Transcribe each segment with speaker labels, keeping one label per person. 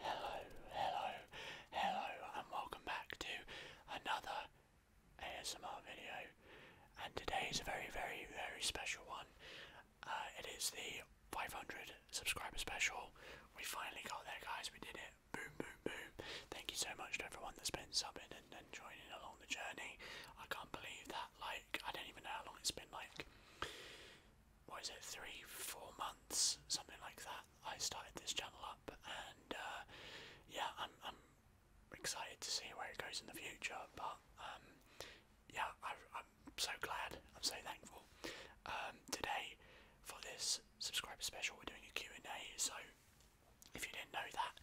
Speaker 1: Hello, hello, hello, and welcome back to another ASMR video. And today is a very, very, very special one. Uh, it is the 500 subscriber special. We finally got there, guys. We did it. Boom, boom, boom. Thank you so much to everyone that's been subbing and joining along the journey. I can't believe that. Like, I don't even know how long it's been. Like, what is it, three, four months, something like that. I started this channel up, and uh, yeah, I'm, I'm excited to see where it goes in the future. But um, yeah, I, I'm so glad. I'm so thankful. Um, today, for this subscriber special, we're doing a Q and A. So if you didn't know that,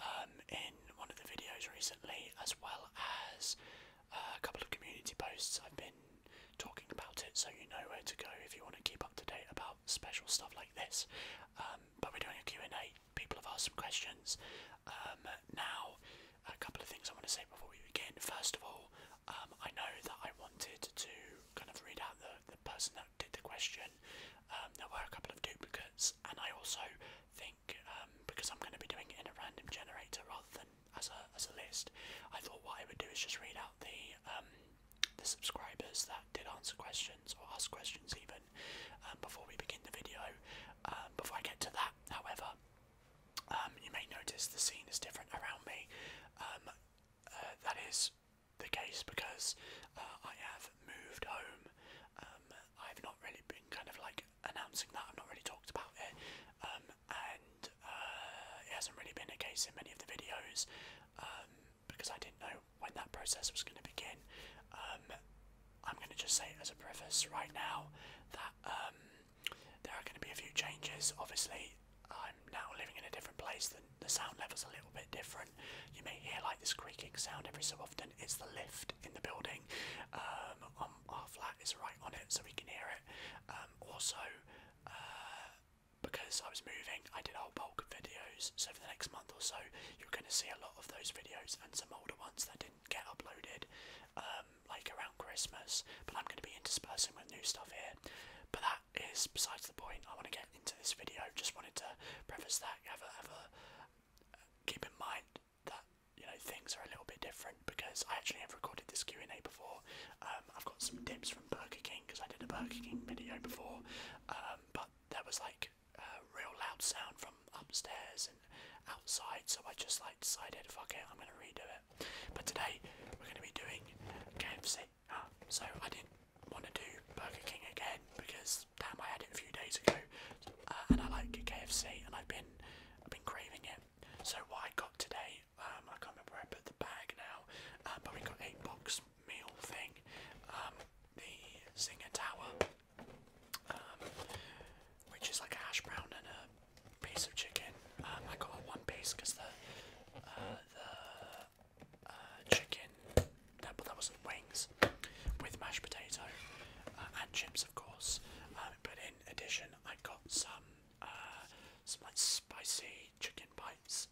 Speaker 1: um, in one of the videos recently, as well as uh, a couple of community posts. I've been talking about it, so you know where to go if you want to keep up to date about special stuff like this. Um, but we're doing a Q&A. People have asked some questions. Um, now, a couple of things I want to say before we begin. First of all, um, I know that I wanted to kind of read out the, the person that did the question. there were a couple of duplicates, and I also think because I'm going to be doing it in a random generator rather than as a as a list. I thought what I would do is just read out the um, the subscribers that did answer questions or ask questions even um, before we begin the video. Um, before I get to that, however, you may notice the scene is different around me. Uh, that is the case because uh, I have moved home. I've not really been kind of like announcing that. I've not really talked about it and uh, it hasn't really been the case in many of the videos um, because I didn't know when that process was going to begin. Um, I'm going to just say as a preface right now that um, there are going to be a few changes. Obviously, I'm now living in a different place, the, the sound level's a little bit different. You may hear like this creaking sound every so often. It's the lift in the building. our flat is right on it, so we can hear it. also, uh, because I was moving, I did a whole bulk of videos. So for the next month or so, you're going to see a lot of those videos and some older ones that didn't get uploaded, um, like around Christmas. But I'm going to be interspersing with new stuff here. But that is besides the point. I want to get into this video. Just wanted to preface that. Have a, uh, keep in mind that you know things are a little bit different because I actually have recorded this Q and A before. Um, I've got some dips from Burger King because I did a Burger King video before, um, but there was like a real loud sound from upstairs and outside, so I just like decided, fuck it, I'm gonna redo it. But today we're gonna be doing KFC, ah, so I didn't want to do Burger King again because damn, I had it a few days ago, uh, and I like KFC, and I've been I've been craving it. So what I got today um, I can't remember where I put the bag now, uh, but we got a box meal thing. Um, the Singer Tower, um, which is like a hash brown and a piece of chicken. I got one piece because the uh, the uh, chicken that that wasn't wings with mashed potato and chips, of course. but in addition, I got some some like spicy chicken bites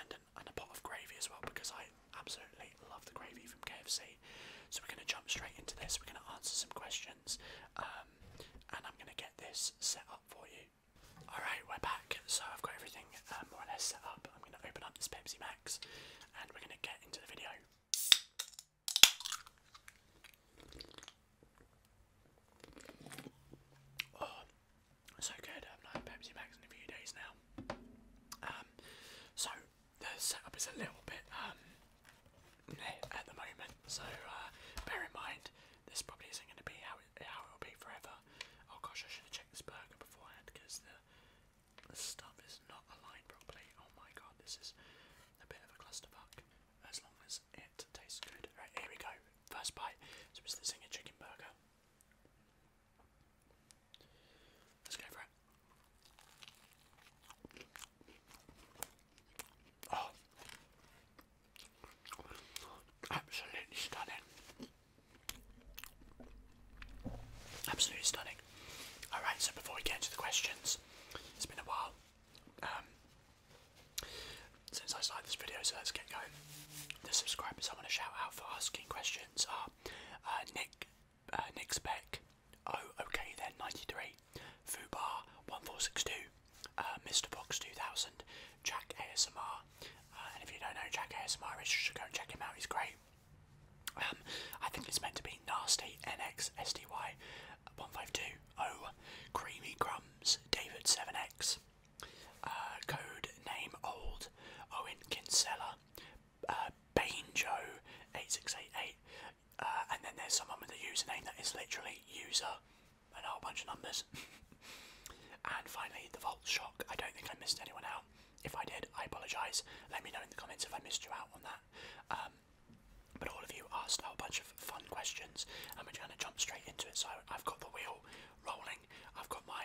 Speaker 1: and, and a pot of gravy as well because I absolutely love the gravy from KFC. So we're going to jump straight into this. We're going to answer some questions um, and I'm going to get this set up for you. Alright, we're back. So I've got everything um, more or less set up. I'm going to open up this Pepsi Max and we're going to get into the video. Oh, so good. I've not Pepsi Max in a few days now. Um, so the setup is a little bit um at the moment. So uh, bear in mind, this probably isn't going to be how it how it'll be forever. Oh gosh, I should have checked this burger beforehand because the the stuff is not aligned properly. Oh my god, this is a bit of a clusterfuck as long as it tastes good. Right, here we go. First bite. So it's the Zinger Chicken Burger. Let's go for it. Oh. Absolutely stunning. Absolutely stunning. Alright, so before we get into the questions, it's been a while. Um, since I started this video, so let's get going. The subscribers I want to shout out for asking questions are ah, uh, Nick, uh, Nick Speck, oh okay then 93, Fubar 1462, uh, Mr Box 2000, Jack ASMR, and if you don't know Jack ASMR, you should go and check him out. He's great. Um, I think it's meant to be nasty NXSDY152O Creamy Crumbs David7X uh, code name old Owen Kinsella, uh, Joe 8688 uh, and then there's someone with a username that is literally user and a whole bunch of numbers. and finally, the Vault Shock. I don't think I missed anyone out. If I did, I apologise. Let me know in the comments if I missed you out on that. Um, but all of you asked a whole bunch of fun questions, and we're going to jump straight into it. So I've got the wheel rolling, I've got my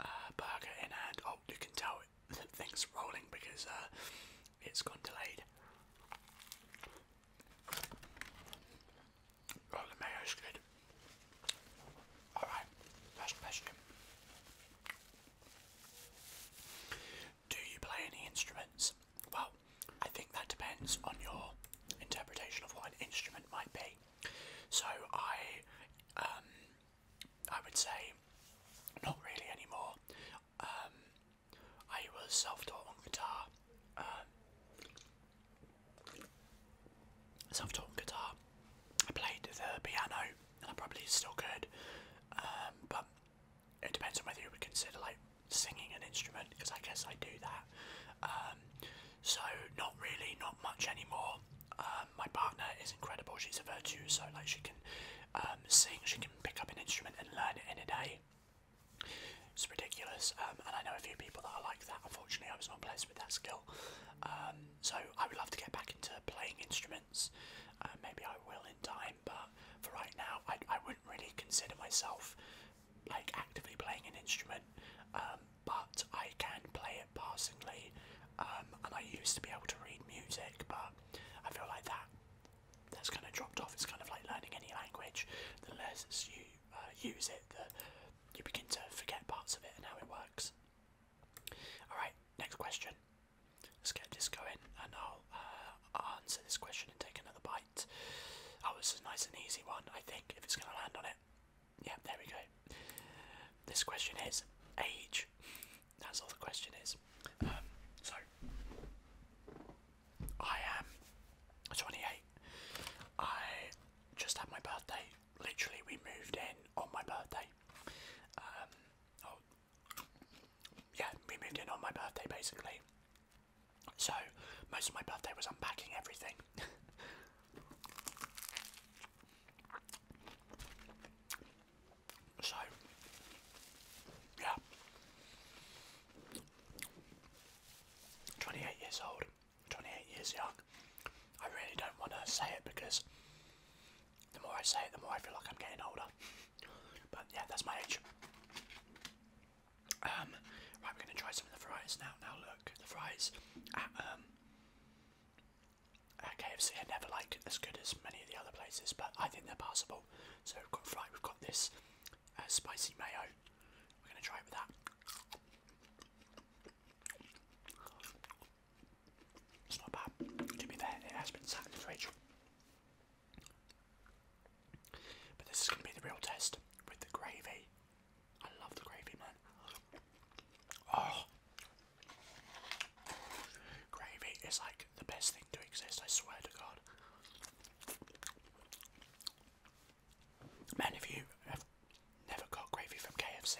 Speaker 1: uh, burger in hand. Oh, you can tell that thing's rolling because uh, it's gone delayed. Oh, mayo's good. Alright, last question. Do you play any instruments? Well, I think that depends on your interpretation of what an instrument might be. So I, um, I would say, not really anymore. Um, I was self-taught on guitar. Um, self-taught guitar. I played the piano, and I probably still could. but it depends on whether you would consider like singing an instrument, because I guess I do that. Um, so not really, not much anymore. Um, my partner is incredible. She's a virtuoso. like she can um, sing, she can pick up an instrument and learn it in a day. It's ridiculous, and I know a few people that are like that. Unfortunately, I was not blessed with that skill. so I would love to get back into playing instruments. Uh, maybe I will in time, but for right now, I wouldn't really consider myself like actively playing an instrument, um, but I can play it passingly. Um, and I used to be able to read music, but I feel like that that's kind of dropped off. It's kind of like learning any language. The less you uh, use it, the you begin to forget parts of it and how it works. All right, next question. Let's get this going, and I'll uh, answer this question and take another bite. Oh, it's a nice and easy one. I think if it's going to land on it. Yeah, there we go. This question is age. That's all the question is. Um, so, I am 28. I just had my birthday. Literally, we moved in on my birthday. Um, oh, yeah, we moved in on my birthday basically. So, most of my birthday was unpacking everything. so, yeah. 28 years old, 28 years young. I really don't want to say it because the more I say it, the more I feel like I'm getting older. but yeah, that's my age. Um, right, we're going to try some of the fries now. Now look, the fries at, um, at KFC are never like as good as many of the other places, but I think they're passable. So we've got fry, we've got this uh, spicy mayo. We're going to try it with that. It's not bad. To be there, it has been sat in the fridge. But this is going to be the real test with the gravy. I love the gravy, man. Oh, gravy is like the best thing to exist. I swear to God, man. If you have never got gravy from KFC,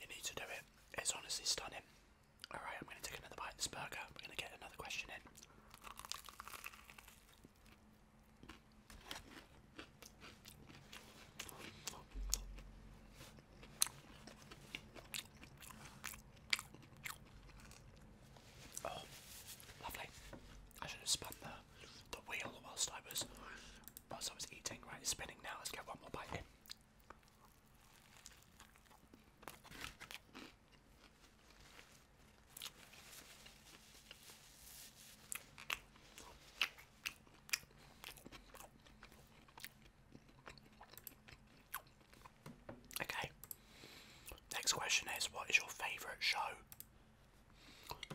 Speaker 1: you need to do it. It's honestly stunning. All right, I'm gonna take another bite of this burger. We're gonna get another question in. Oh, lovely. I should have spun the, the wheel whilst I was whilst I was eating, right? spinning now, let's get one more bite in. Okay. Next question is what is your favourite show?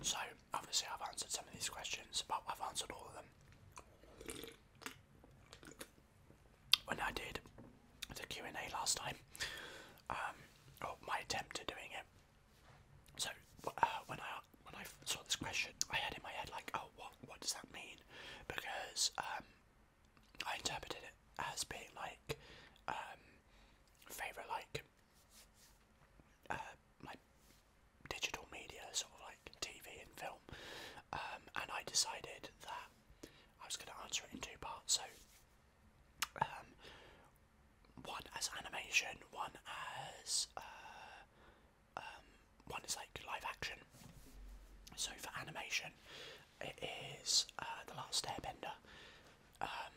Speaker 1: So obviously I've answered some of these questions, but I've answered all of them. When I did the Q and A last time, um, or my attempt at doing it, so uh, when I when I saw this question, I had in my head like, oh, what what does that mean? Because um, I interpreted it as being like um, favorite like uh, digital media, sort of like TV and film, um, and I decided that I was going to answer it in two parts. So one as animation, one as uh, um, one is like live action. So for animation, it is uh, the Last Airbender. Um,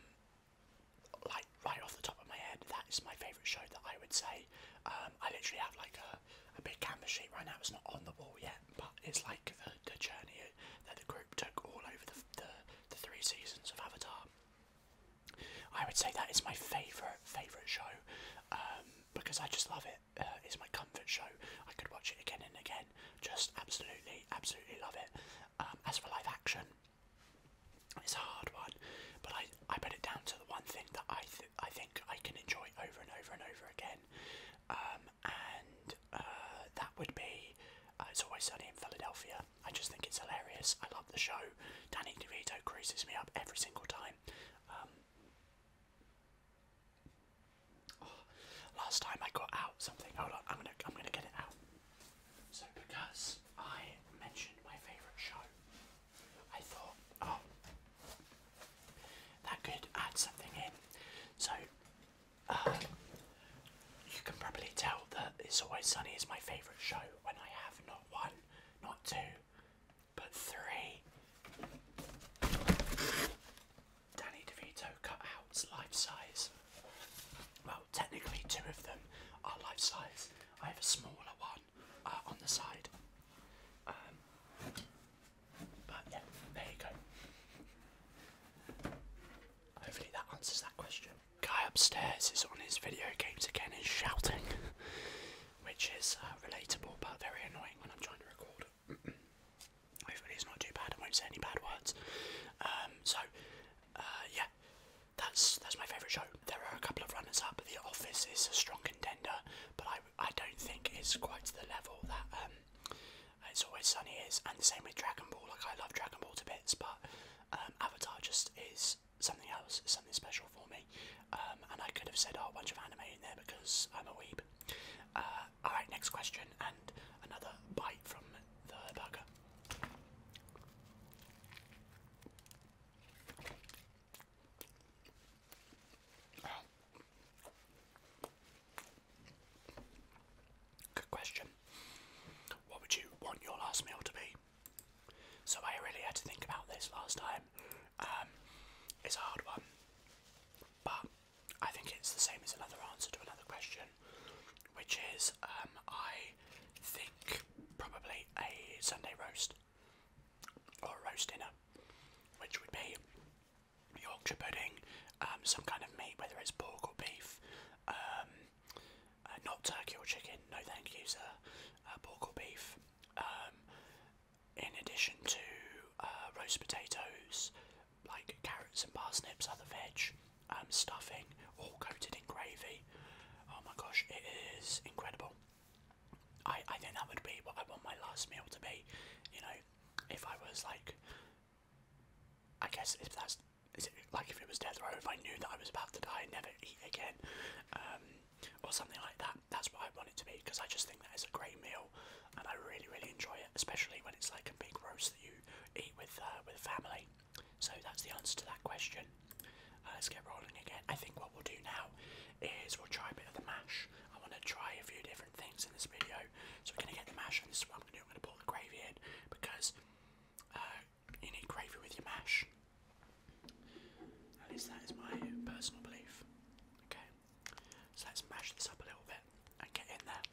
Speaker 1: like right off the top of my head, that is my favourite show that I would say. Um, I literally have like a, a big canvas sheet right now. It's not on the wall yet, but it's like the, journey that the group took all over the the three seasons of Avatar. I would say that is my favourite, favourite show um, because I just love it. Uh, it's my comfort show. I could watch it again and again. Just absolutely, absolutely love it. Um, as for live action, it's a hard one, but I, I put it down to the one thing that I I think I can enjoy over and over and over again, um, and uh, that would be uh, It's Always Sunny in Philadelphia. I just think it's hilarious. I love the show. Danny DeVito creases me up every single time. Um, oh, last time I got out something. Hold on, I'm gonna I'm gonna get it out. So because I mentioned my favourite show, I thought, oh, that could add something in. So uh, you can probably tell that It's Always Sunny is my favourite show when I have not one, not two, but three Danny DeVito cutouts life size. Well, technically, two of them are life size. I have a smaller one uh, on the side. Um, but yeah, there you go. Hopefully that answers that question guy upstairs is on his video games again and shouting, which is uh, relatable but very annoying when I'm trying to record. Hopefully, it's not too bad. I won't say any bad words. Um, so, uh, yeah, that's that's my favourite show. There are a couple of runners up. The Office is a strong contender, but I I don't think it's quite to the level that um, It's Always Sunny is, and the same with Dragon Ball. Like I love Dragon Ball to bits, but um, Avatar just is something else, something special for me. Um, and I could have said, oh, a bunch of anime in there because I'm a weeb. Uh, alright, next question, and another bite from the burger. Good question. What would you want your last meal to be? So I really had to think about this last time. Um, it's a hard one, but I think it's the same as another answer to another question, which is um, I think probably a Sunday roast or a roast dinner, which would be Yorkshire pudding, um, some kind of meat, whether it's pork or beef, uh, not turkey or chicken, no thank you, sir. Uh, pork or beef. Um, in addition to uh, roast potatoes, like carrots and parsnips, other veg, um, stuffing, all coated in gravy. Oh my gosh, it is incredible. I, I think that would be what I want my last meal to be. You know, if I was like, I guess if that's is it like if it was death row if I knew that I was about to die and never eat again um, or something like that that's what I want it to be because I just think that it's a great meal and I really really enjoy it especially when it's like a big roast that you eat with uh, with family so that's the answer to that question uh, let's get rolling again I think what we'll do now is we'll try a bit of the mash I want to try a few different things in this video so we're gonna get the mash and this is what I'm gonna do I'm gonna put the gravy in because uh, you need gravy with your mash. At least that is my personal belief. Okay, so let's mash this up a little bit and get in there.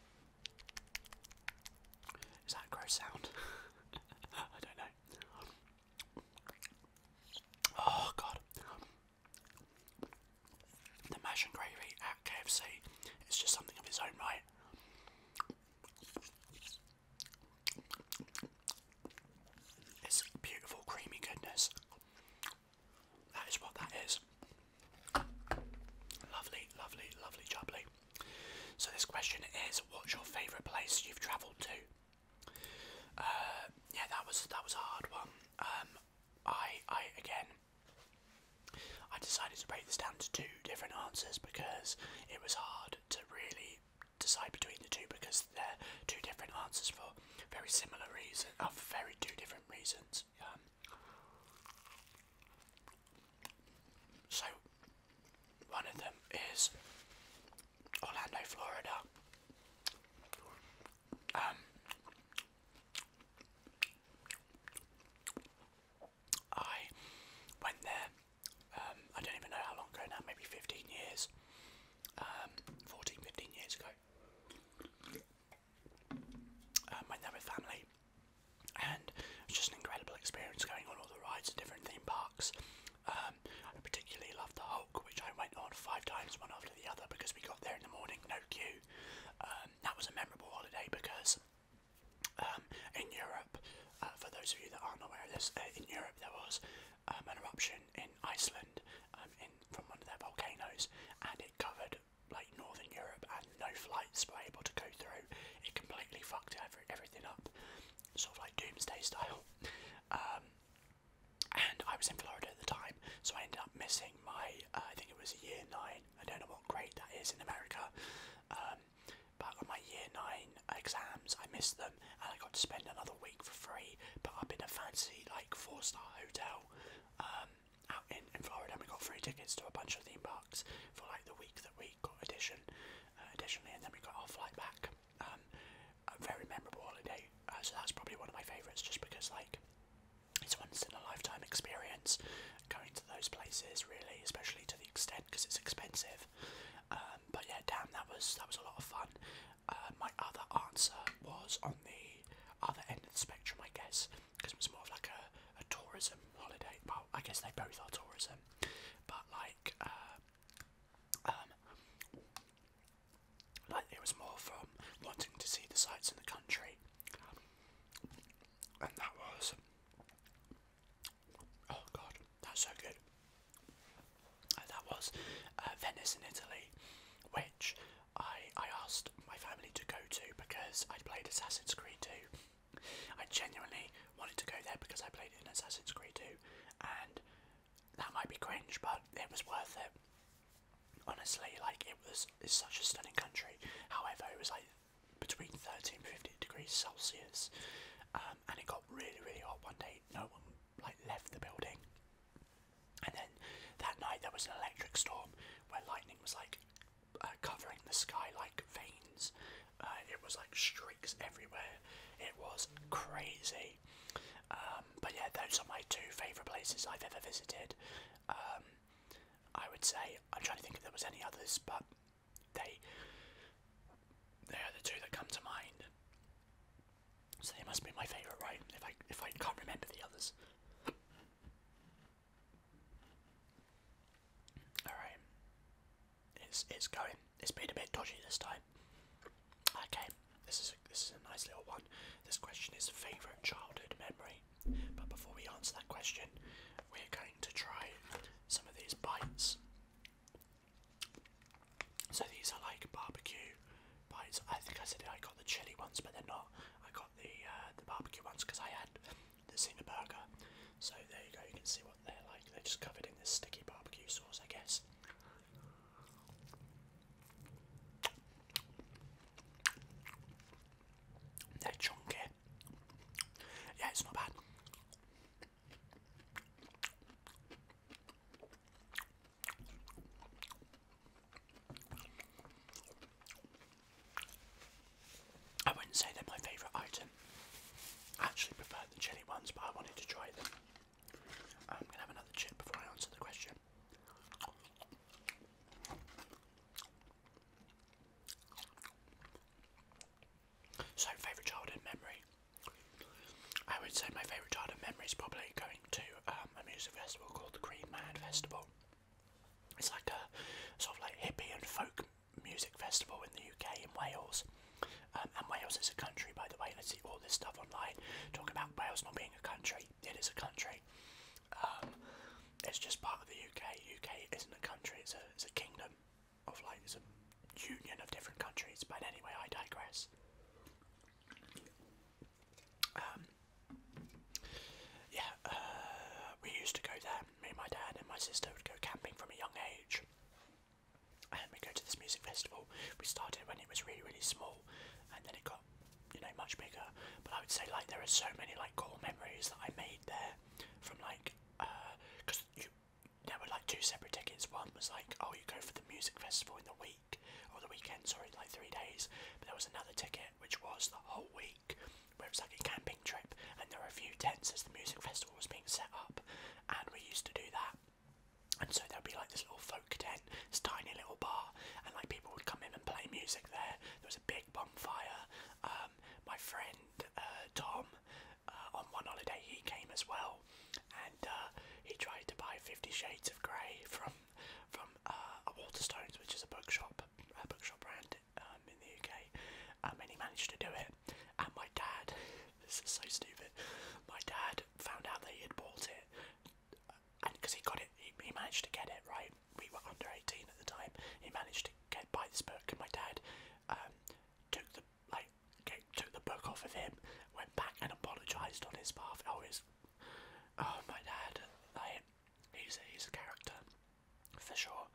Speaker 1: Is that gross sound? I don't know. Oh god. The mash and gravy at KFC is just something of its own right. It's beautiful creamy goodness. That is what that is. Lovely, lovely, lovely jubbly. So this question is what's your favourite place you've travelled to? Uh, yeah that was that was a hard one. Um, I I again I decided to break this down to two different answers because it was hard to really decide between the two because they're two different answers for very similar reasons, uh, very two different reasons. Um, so, one of them is Orlando, Florida. Um, I went there. Um, I don't even know how long ago now. Maybe 15 years, um, 14, 15 years ago. Um, went there with family, and it's just an incredible experience going on all the rides at different theme parks. Um, I particularly loved the Hulk, which I went on five times, one after the other, because we got there in the morning, no queue. Um, that was a memorable holiday because um, in Europe, uh, for those of you that aren't aware this, uh, in Europe there was um, an eruption in Iceland um, from one of their volcanoes, and it covered like northern Europe, and no flights were able to go through. It completely fucked every, everything up, sort of like doomsday style. and I was in Florida at the time, so I ended up missing my, uh, I think it was year nine, I don't know what grade that is in America, but on my year nine exams, I missed them, and I got to spend another week for free. But up in a fancy like four star hotel um, out in, in Florida, and we got free tickets to a bunch of theme parks for like the week that we got addition, uh, additionally, and then we got our flight back. Um, a very memorable holiday, uh, so that's probably one of my favourites, just because like it's once in a lifetime experience going to those places, really, especially to the extent because it's expensive. Um, but yeah, damn, that was that was a lot of fun. Uh, my other answer was on the other end of the spectrum, I guess, because it was more of like a, a tourism holiday. Well, I guess they both are tourism, but like, uh, um, like it was more from wanting to see the sights in the country, and that was Oh god, that's so good. Uh, that was uh, Venice in Italy, which I I asked my family to go to because I'd played Assassin's Creed 2. I genuinely wanted to go there because I played in Assassin's Creed 2, and that might be cringe, but it was worth it. Honestly, like it was, it's such a stunning country. However, it was like between 13 and fifty degrees Celsius, um, and it got really, really hot one day. No one like left the building, and then that night there was an electric storm where lightning was like uh, covering the sky like veins. Uh, it was like streaks everywhere. It was crazy. Um, but yeah, those are my two favourite places I've ever visited. Um, I would say I'm trying to think if there was any others, but they they are the two that come to mind. So they must be my favourite, right? If I if I can't remember the others. Alright. It's it's going. It's been a bit dodgy this time. Okay, this is this is a nice little one. This question is favourite childhood memory. But before we answer that question, we're going to try some of these bites so these are like barbecue bites. I think I said I got the chili ones, but they're not. I got the uh, the barbecue ones because I had the Zinger burger. So there you go. You can see what they're like. They're just covered in this sticky barbecue sauce, I guess. They're chunky. Yeah, it's not bad. I wouldn't say they're my favourite item. I actually prefer the chilli ones, but I wanted to try them. I'm gonna have another chip before I answer the question. So, favourite childhood memory? I would say my favourite childhood memory is probably going to um, a music festival called the Green Man Festival. It's like a sort of like hippie and folk music festival in the UK in Wales. Um, and Wales is a country, by the way. Let's see all this stuff online. Talking about Wales not being a country. It is a country. Um, it's just part of the UK. UK isn't a country, it's a, it's a kingdom of like some union of different countries. But anyway, I digress. Um, yeah, uh, we used to go there. Me, and my dad, and my sister would go camping from a young age. And we go to this music festival. We started when it was really, really small, and then it got, you know, much bigger. But I would say like there are so many like core memories that I made there, from like, because uh, you there were like two separate tickets. One was like, oh, you go for the music festival in the week or the weekend, sorry, like three days. But there was another ticket which was the whole week, where it was like a camping trip, and there were a few tents as the music festival was being set up, and we used to do that. And so there'd be like this little folk tent, this tiny little bar, and like people would come in and play music there. There was a big bonfire. Um, my friend uh, Tom uh, on one holiday he came as well, and uh, he tried to buy Fifty Shades of Grey from from uh, a Waterstones, which is a bookshop, a bookshop brand um, in the UK, um, and he managed to do it. And my dad, this is so stupid. My dad found out that he had bought it, and because he got it, he, managed to get it right. We were under eighteen at the time. He managed to get buy this book, and my dad um, took the like took the book off of him, went back and apologised on his behalf. Oh, his, oh my dad, like, he's a, he's a character for sure.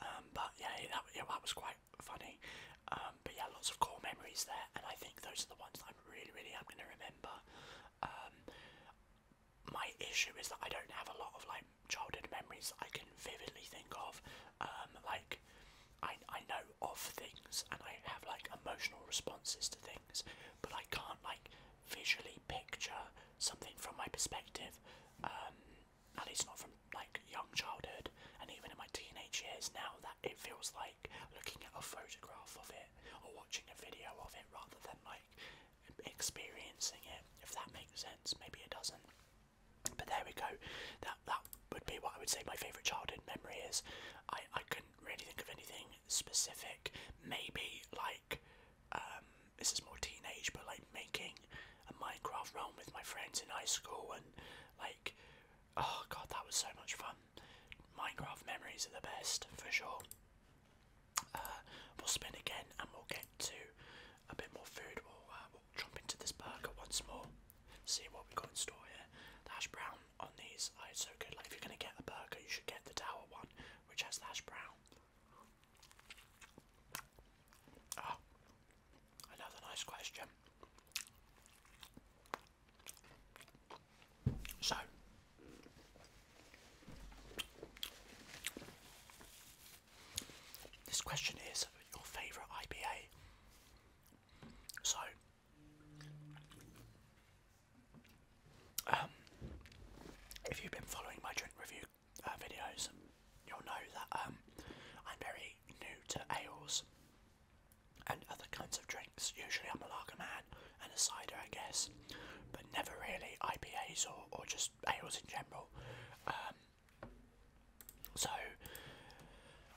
Speaker 1: Um, but yeah, that, yeah, that was quite funny. Um, but yeah, lots of core memories there, and I think those are the ones I'm really, really am going to remember. Um, my issue is that I don't have a lot of like childhood memories that I can vividly think of. Um, like I, I know of things and I have like emotional responses to things, but I can't like visually picture something from my perspective. Um, at least not from like young childhood, and even in my teenage years now, that it feels like looking at a photograph of it or watching a video of it rather than like experiencing it. If that makes sense, maybe it doesn't. But there we go. That that would be what I would say my favourite childhood memory is. I I couldn't really think of anything specific. Maybe like um, this is more teenage, but like making a Minecraft realm with my friends in high school and like oh god, that was so much fun. Minecraft memories are the best for sure. Uh, we'll spin again and we'll get to a bit more food. We'll, uh, jump into this burger once more. See what we got in store here. The hash brown on these, like, it's so good. Like if you're gonna get a burger, you should get the tower one, which has the hash brown. Ah, another nice question. So. This question is your favourite IBA. So, um, if you've been following my drink review uh, videos, you'll know that um, I'm very new to ales and other kinds of drinks. Usually, I'm a lager man and a cider, I guess, but never really IPAs or, or just ales in general. Um, so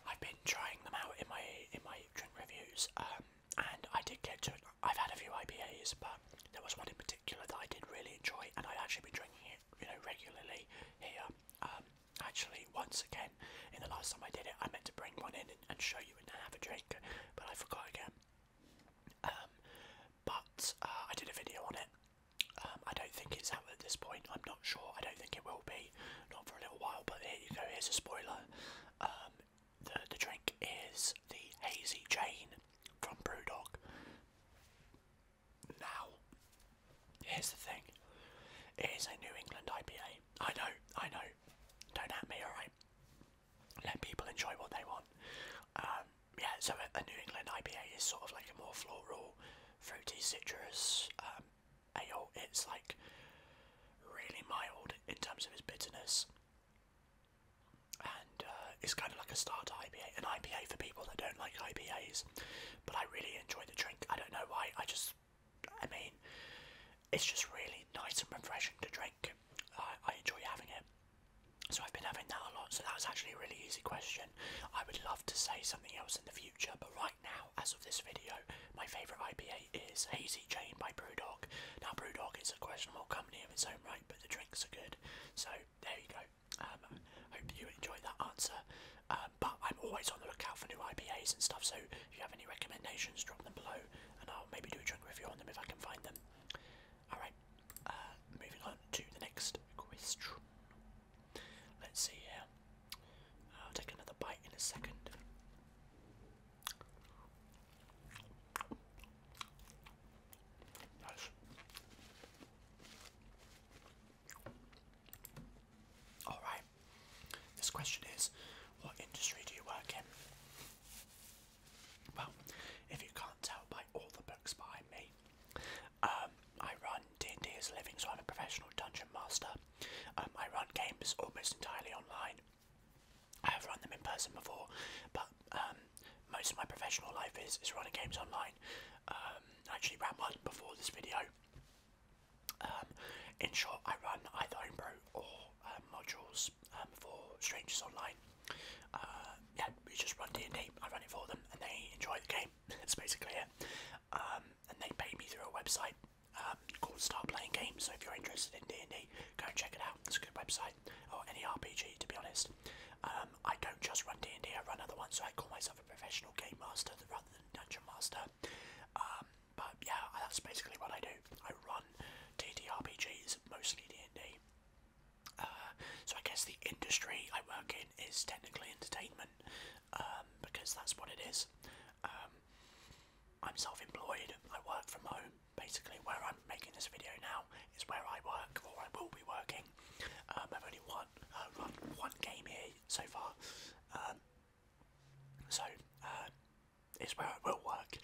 Speaker 1: I've been trying them out in my in my drink reviews, um, and I did get to. I've had a few IPAs, but there was one in particular that I did really enjoy, and i actually been drinking it, you know, regularly here. Um, actually, once again, in the last time I did it, I meant to bring one in and, show you and have a drink, but I forgot again. Um, but uh, I did a video on it, um, I don't think it's out at this point. I'm not sure. I don't think it will be, not for a little while. But here you go. Here's a spoiler. Um, the the drink is the hazy Jane from Brewdog. Now, here's the thing. It is a New England IPA. I know. I know. Don't at me. All right. Let people enjoy what they want. Um, yeah. So a, New England IPA is sort of like a more floral, fruity, citrus ale. It's like really mild in terms of its bitterness, and uh, it's kind of like a starter IPA, an IPA for people that don't like IPAs. But I really enjoy the drink. I don't know why. I just, I mean, it's just really nice and refreshing to drink. I, I enjoy having it. So I've been having that a lot. So that was actually a really easy question. I would love to say something else in the future, but right now, as of this video, my favourite IPA is Hazy Jane by Brewdog. Now, Brewdog is a questionable company of its own right, but the drinks are good. So, there you go. Um, hope you enjoyed that answer. Um, but I'm always on the lookout for new IPAs and stuff, so if you have any recommendations, drop them below and I'll maybe do a drink review on them if I can find them. Alright, uh, moving on to the next question. Let's see here. I'll take another bite in a second. Alright, this question is what industry do you work in? Well, if you can't tell by all the books behind me, um, I run D&D as a living, so I'm a professional dungeon master. Um, I run games almost entirely online. I have run them in person before, but um, most of my professional life is, is running games online. actually ran one before this video. in short, I run either homebrew or modules for strangers online. Uh, yeah, we just run D&D. I run it for them, and they enjoy the game. That's basically it. Um, and they paid me through a website um, called Start Playing Games. So if you're interested in D and D, go and check it out. It's a good website, or any RPG to be honest. Um, I don't just run D and D. I run other ones, so I call myself a professional game master rather than dungeon master. but yeah, that's basically what I do. I run DDRPGs, mostly D and D. Uh, so I guess the industry I work in is technically entertainment um, because that's what it is. Um, I'm self-employed. I work from home. Basically, where I'm making this video now is where I work, or I will be working. Um, I've only won, uh, run one game here so far, so uh, it's where I will work.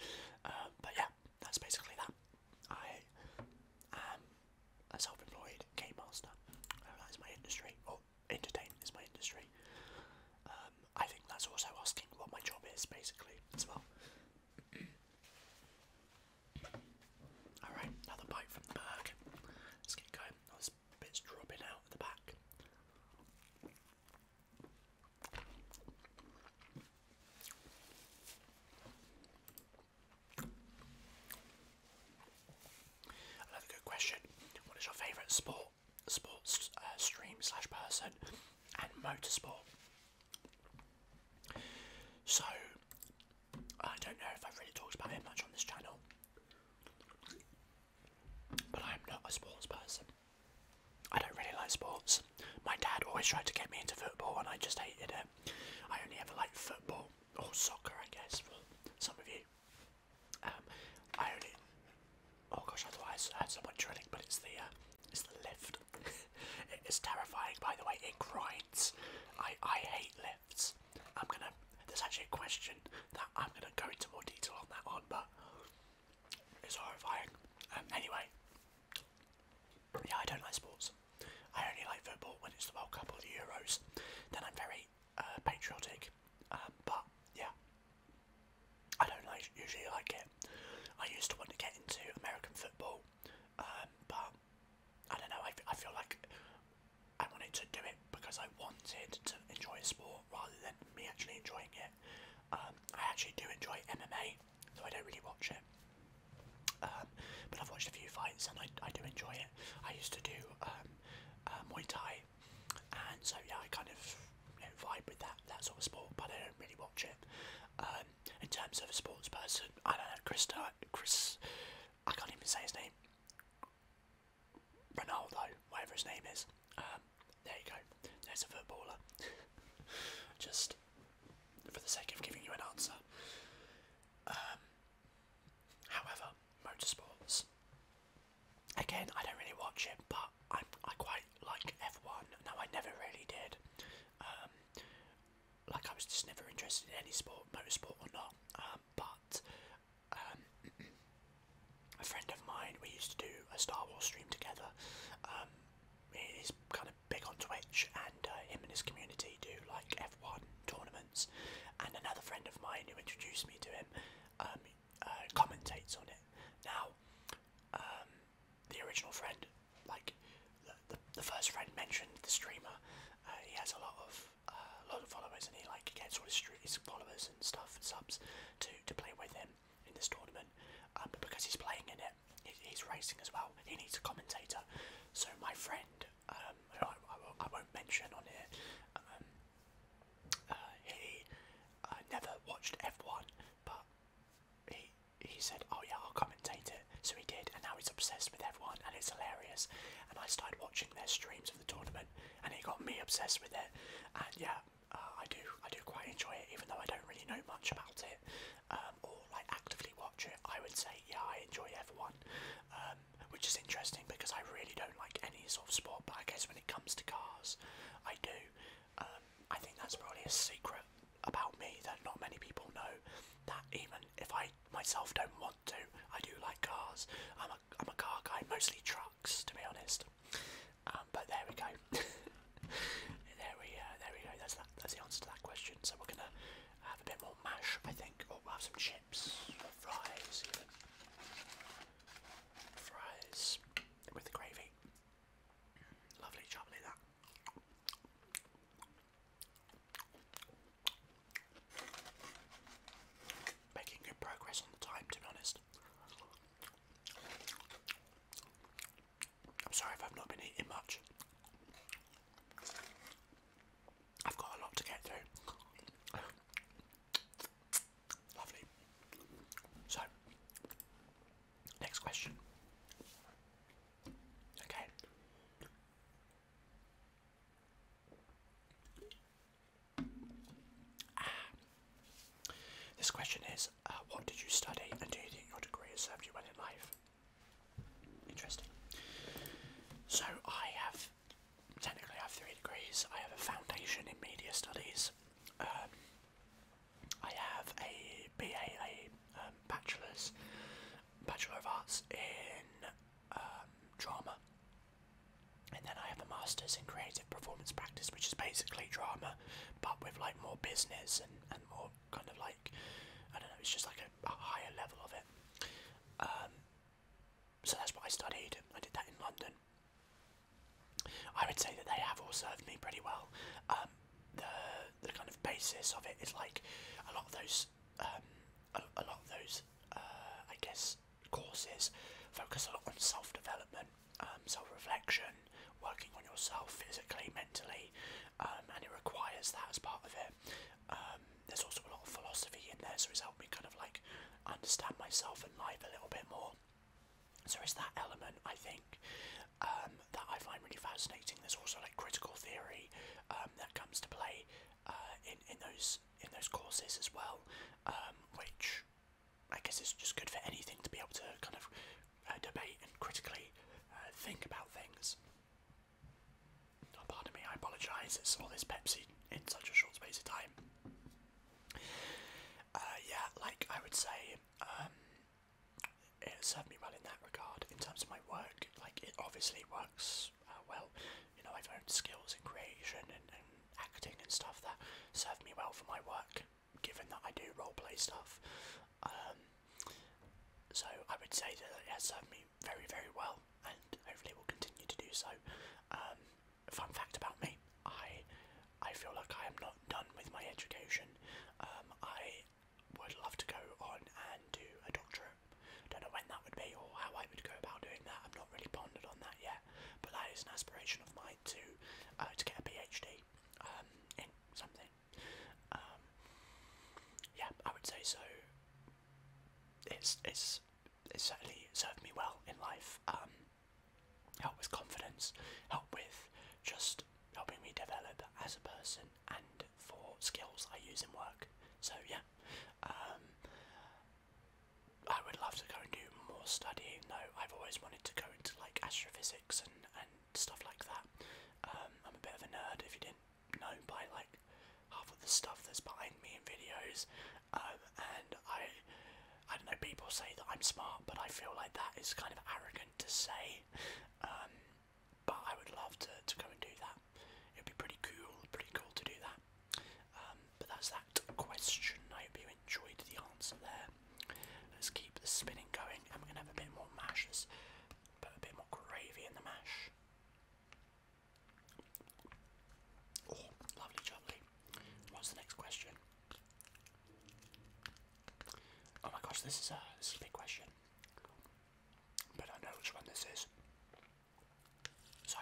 Speaker 1: but yeah, that's basically that. I am a self-employed game master. Uh, that is my industry, oh, entertainment is my industry. Um, I think that's also asking what my job is, basically, as well. Alright, another bite from the burger. Let's get going. Oh, bit's dropping out at the back. Another good question. What is your favourite sport, sports uh, stream slash person, and motorsport? So, I don't know if I've really talked about it much on this channel, but I'm not a sports person. I don't really like sports. My dad always tried to get me into football, and I just hated it. I only ever liked football or soccer, I guess, for some of you. Um, I only. Oh gosh, otherwise I had someone drilling, but it's the uh, it's the lift. it is terrifying, by the way. It grinds. I I hate lifts. I'm gonna. There's actually a question that I'm gonna go into more detail on that one, but it's horrifying. Um, anyway, yeah, I don't like sports. I only like football when it's the World Cup or the Euros. Then I'm very uh, patriotic, um, but yeah, I don't like, usually like it. I used to want to get into American football, um, but I don't know. I, I feel like I wanted to do it because I wanted to enjoy a sport rather than me actually enjoying it. Um, I actually do enjoy MMA, though I don't really watch it. but I've watched a few fights and I, I do enjoy it. I used to do uh, Muay Thai and so yeah, I kind of vibe with that that sort of sport, but I don't really watch it. Um, in terms of a sports person, I don't know Chris. Uh, Chris, I can't even say his name. Ronaldo, whatever his name is. Um, there you go. There's a footballer. Just for the sake of giving you an answer. Um, however, motorsports. Again, I don't really watch it, but I, I quite like F1. No, I never really did. Um, like I was just never interested in any sport, motorsport or not. Um, but um, a friend of mine, we used to do a Star Wars stream together. he's kind of big on Twitch, and uh, him and his community do like F1 tournaments. And another friend of mine who introduced me to him um, uh, commentates on it. Now, um, the original friend, like the, the, first friend mentioned the streamer. Uh, he has a lot of uh, a lot of followers, and he like gets all his, followers and stuff subs to to play with him in this tournament. Um, but because he's playing in it, he's racing as well. He needs a commentator. So my friend um, I, I, won't mention on here. Um, uh, he uh, never watched F1, but he he said, "Oh yeah, I'll commentate it." So he did, and now he's obsessed with F1, and it's hilarious. And I started watching their streams of the tournament, and he got me obsessed with it. And yeah, uh, I do I do quite enjoy it, even though I don't really know much about it um, or like actively watch it. I would say yeah, I enjoy F1. Um, which is interesting because I really don't like any sort of sport, but I guess when it comes to cars, I do. Um, I think that's probably a secret about me that not many people know. That even if I myself don't want to, I do like cars. I'm a I'm a car guy, mostly trucks, to be honest. Um, but there we go. there we uh, there we go. That's that. That's the answer to that question. So we're gonna have a bit more mash, I think, or have some chips or fries even fries with gravy. Lovely chocolate that. Making good progress on the time to be honest. I'm sorry if I've not been eating much. I've got a lot to get through. Lovely. So, next question. Okay. Ah. This question is uh, What did you study and do you think your degree has served you well in life? Interesting. So, I have technically I have three degrees. I have a foundation in media studies. Um, I have a B.A. um, bachelor's, Bachelor of Arts in um, drama, and then I have a master's in creative performance practice, which is basically drama, but with like more business and, and more kind of like I don't know, it's just like a, higher level of it. Um, so that's what I studied. I did that in London. I would say that they have all served me pretty well. Um, the the kind of basis of it is like a lot of those um, a, a lot of those uh, I guess courses focus a lot on self development, um, self reflection, working on yourself physically, mentally, and it requires that as part of it. there's also a lot of philosophy in there, so it's helped me kind of like understand myself and life a little bit more. So it's that element I think um, that I find really fascinating. There's also like critical theory um, that comes to play uh, in in those in those courses as well, um, which I guess is just good for anything to be able to kind of uh, debate and critically uh, think about things. Oh, pardon me, I apologise. It's all this Pepsi in such a short space of time. Uh, yeah, like I would say, um, it served me well in that regard. In terms of my work, like it obviously works uh, well. You know, I've learned skills in creation and, acting and stuff that served me well for my work, given that I do role play stuff. Um, so I would say that it has served me very, very well, and hopefully will continue to do so. Um, fun fact about me, I I feel like I am not done with my education. Um, I would love to go on and do a doctorate. Don't know when that would be or how I would go about doing that. I've not really pondered on that yet, but that is an aspiration of mine to uh, to get a PhD um, in something. Um, yeah, I would say so. It's it's it certainly served me well in life. Um, help with confidence, help with just helping me develop as a person, and for skills I use in work. So yeah, um, I would love to go and do more studying. Though I've always wanted to go into like astrophysics and and stuff like that. Um, I'm a bit of a nerd, if you didn't know by like half of the stuff that's behind me in videos. Um, and I, I don't know. People say that I'm smart, but I feel like that is kind of arrogant to say. Um, but I would love to to go and do that. It'd be pretty cool, pretty cool to do that. Um, but that's that question. I hope you enjoyed the answer there. Let's keep the spinning going, and we're gonna have a bit more mashers. put a bit more gravy in the mash. Oh, lovely What's the next question? Oh my gosh, this is a this is a big question. But I know which one this is. So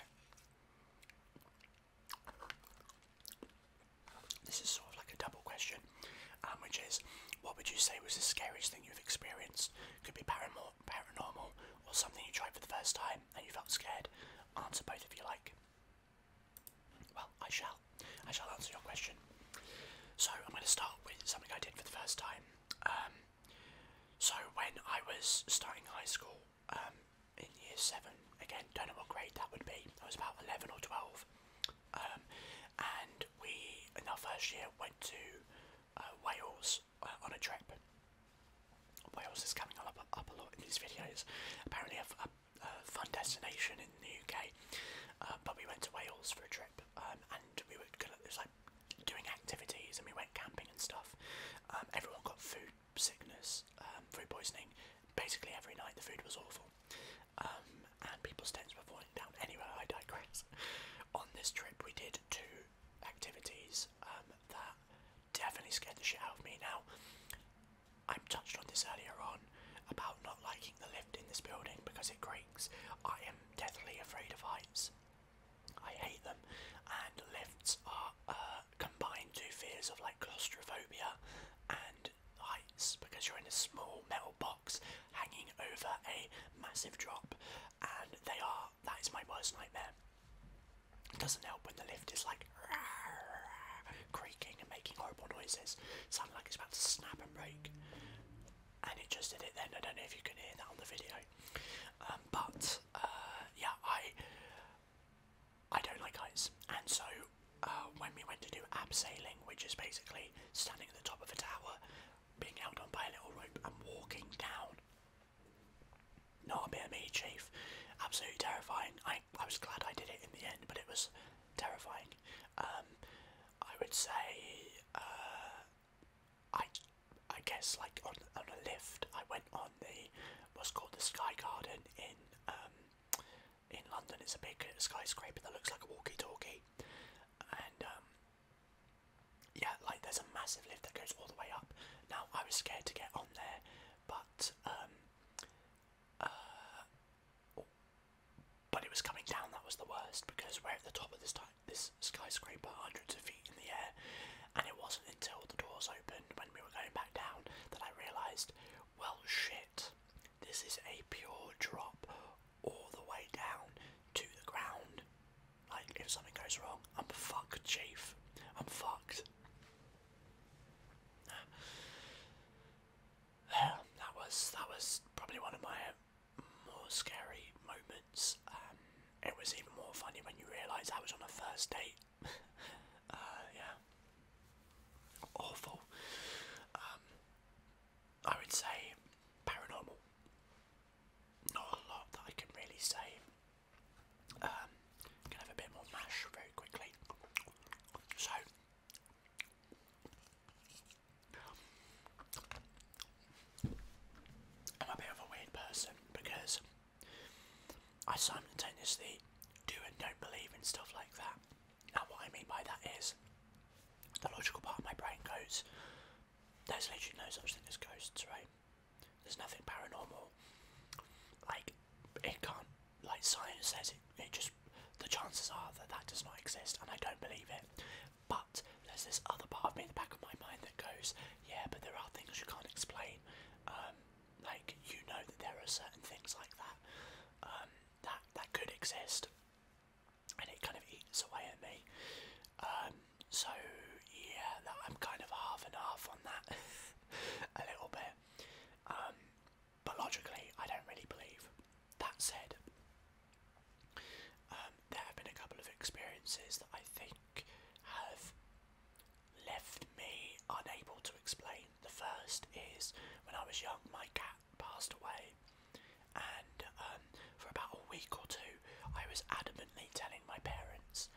Speaker 1: this is sort of like a double question, um, which is, what would you say was the scariest thing you've experienced? Could be paranormal, paranormal, or something you tried for the first time and you felt scared, answer both if you like. Well, I shall. I shall answer your question. So I'm going to start with something I did for the first time. Um, so when I was starting high school um, in year seven, again, don't know what grade that would be. I was about eleven or twelve, um, and we in our first year went to uh, Wales uh, on a trip. Wales is coming up, up a lot in these videos. Apparently, a, fun destination in the UK, uh, but we went to Wales for a trip, um, and we were gonna, it was like doing activities, and we went camping and stuff. Um, everyone got food sickness, um, food poisoning. Basically, every night the food was awful, and people's tents were falling down. Anyway, I digress. On this trip, we did two activities that definitely scared the shit out of me. Now, I touched on this earlier on about not liking the lift in this building because it creaks. I am deathly afraid of heights. I hate them, and lifts are uh, combined two fears of like claustrophobia and heights because you're in a small metal box hanging over a massive drop, and they are that is my worst nightmare. It doesn't help when the lift is like creaking and making horrible noises. It sounded like it's about to snap and break. And it just did it then. I don't know if you can hear that on the video. Um, but uh, yeah, I I don't like heights. And so uh, when we went to do abseiling, which is basically standing at the top of a tower, being held on by a little rope and walking down not a bit of me, Chief. Absolutely terrifying. I, I was glad I did it in the end, but it was terrifying. Um, I would say, uh, I, I guess like on, on a lift, I went on the, what's called the Sky Garden in, um, in London. It's a big skyscraper that looks like a walkie-talkie. And, um, yeah, like there's a massive lift that goes all the way up. Now, I was scared to get on there but um, uh, but it was coming down that was the worst because we're at the top of this this skyscraper, hundreds of feet in the air, and it wasn't until the doors opened when we were going back down that I realised, well, shit, this is a pure drop all the way down to the ground. Like if something goes wrong, I'm fucked, chief. I'm fucked. There, that was that was probably one of my more scary moments. Um, it was even more funny when you realise I was on a first date. Uh, yeah, awful. Um, I would say paranormal. Not a lot that I can really say um, have a bit more mash very quickly. So, I'm a bit of a weird person because I simultaneously do and don't believe in stuff like that. Now, what I mean by that is the logical part of my brain goes, there's literally no such thing as ghosts, right? There's nothing paranormal. Like it can't. Like science says it. It just the chances are that that does not exist, and I don't believe it. But there's this other part of me in the back of my mind that goes, yeah, but there are things you can't explain. Um, like you know that there are certain things like that um, that that could exist, and it kind of eats away at me. Um, so yeah, I'm kind of half and half on that a little bit. Um, but logically, I don't really believe. That said, um, there have been a couple of experiences that I think have left me unable to explain. The first is when I was young, my cat passed away, and um, for about a week or two, I was adamantly telling my parents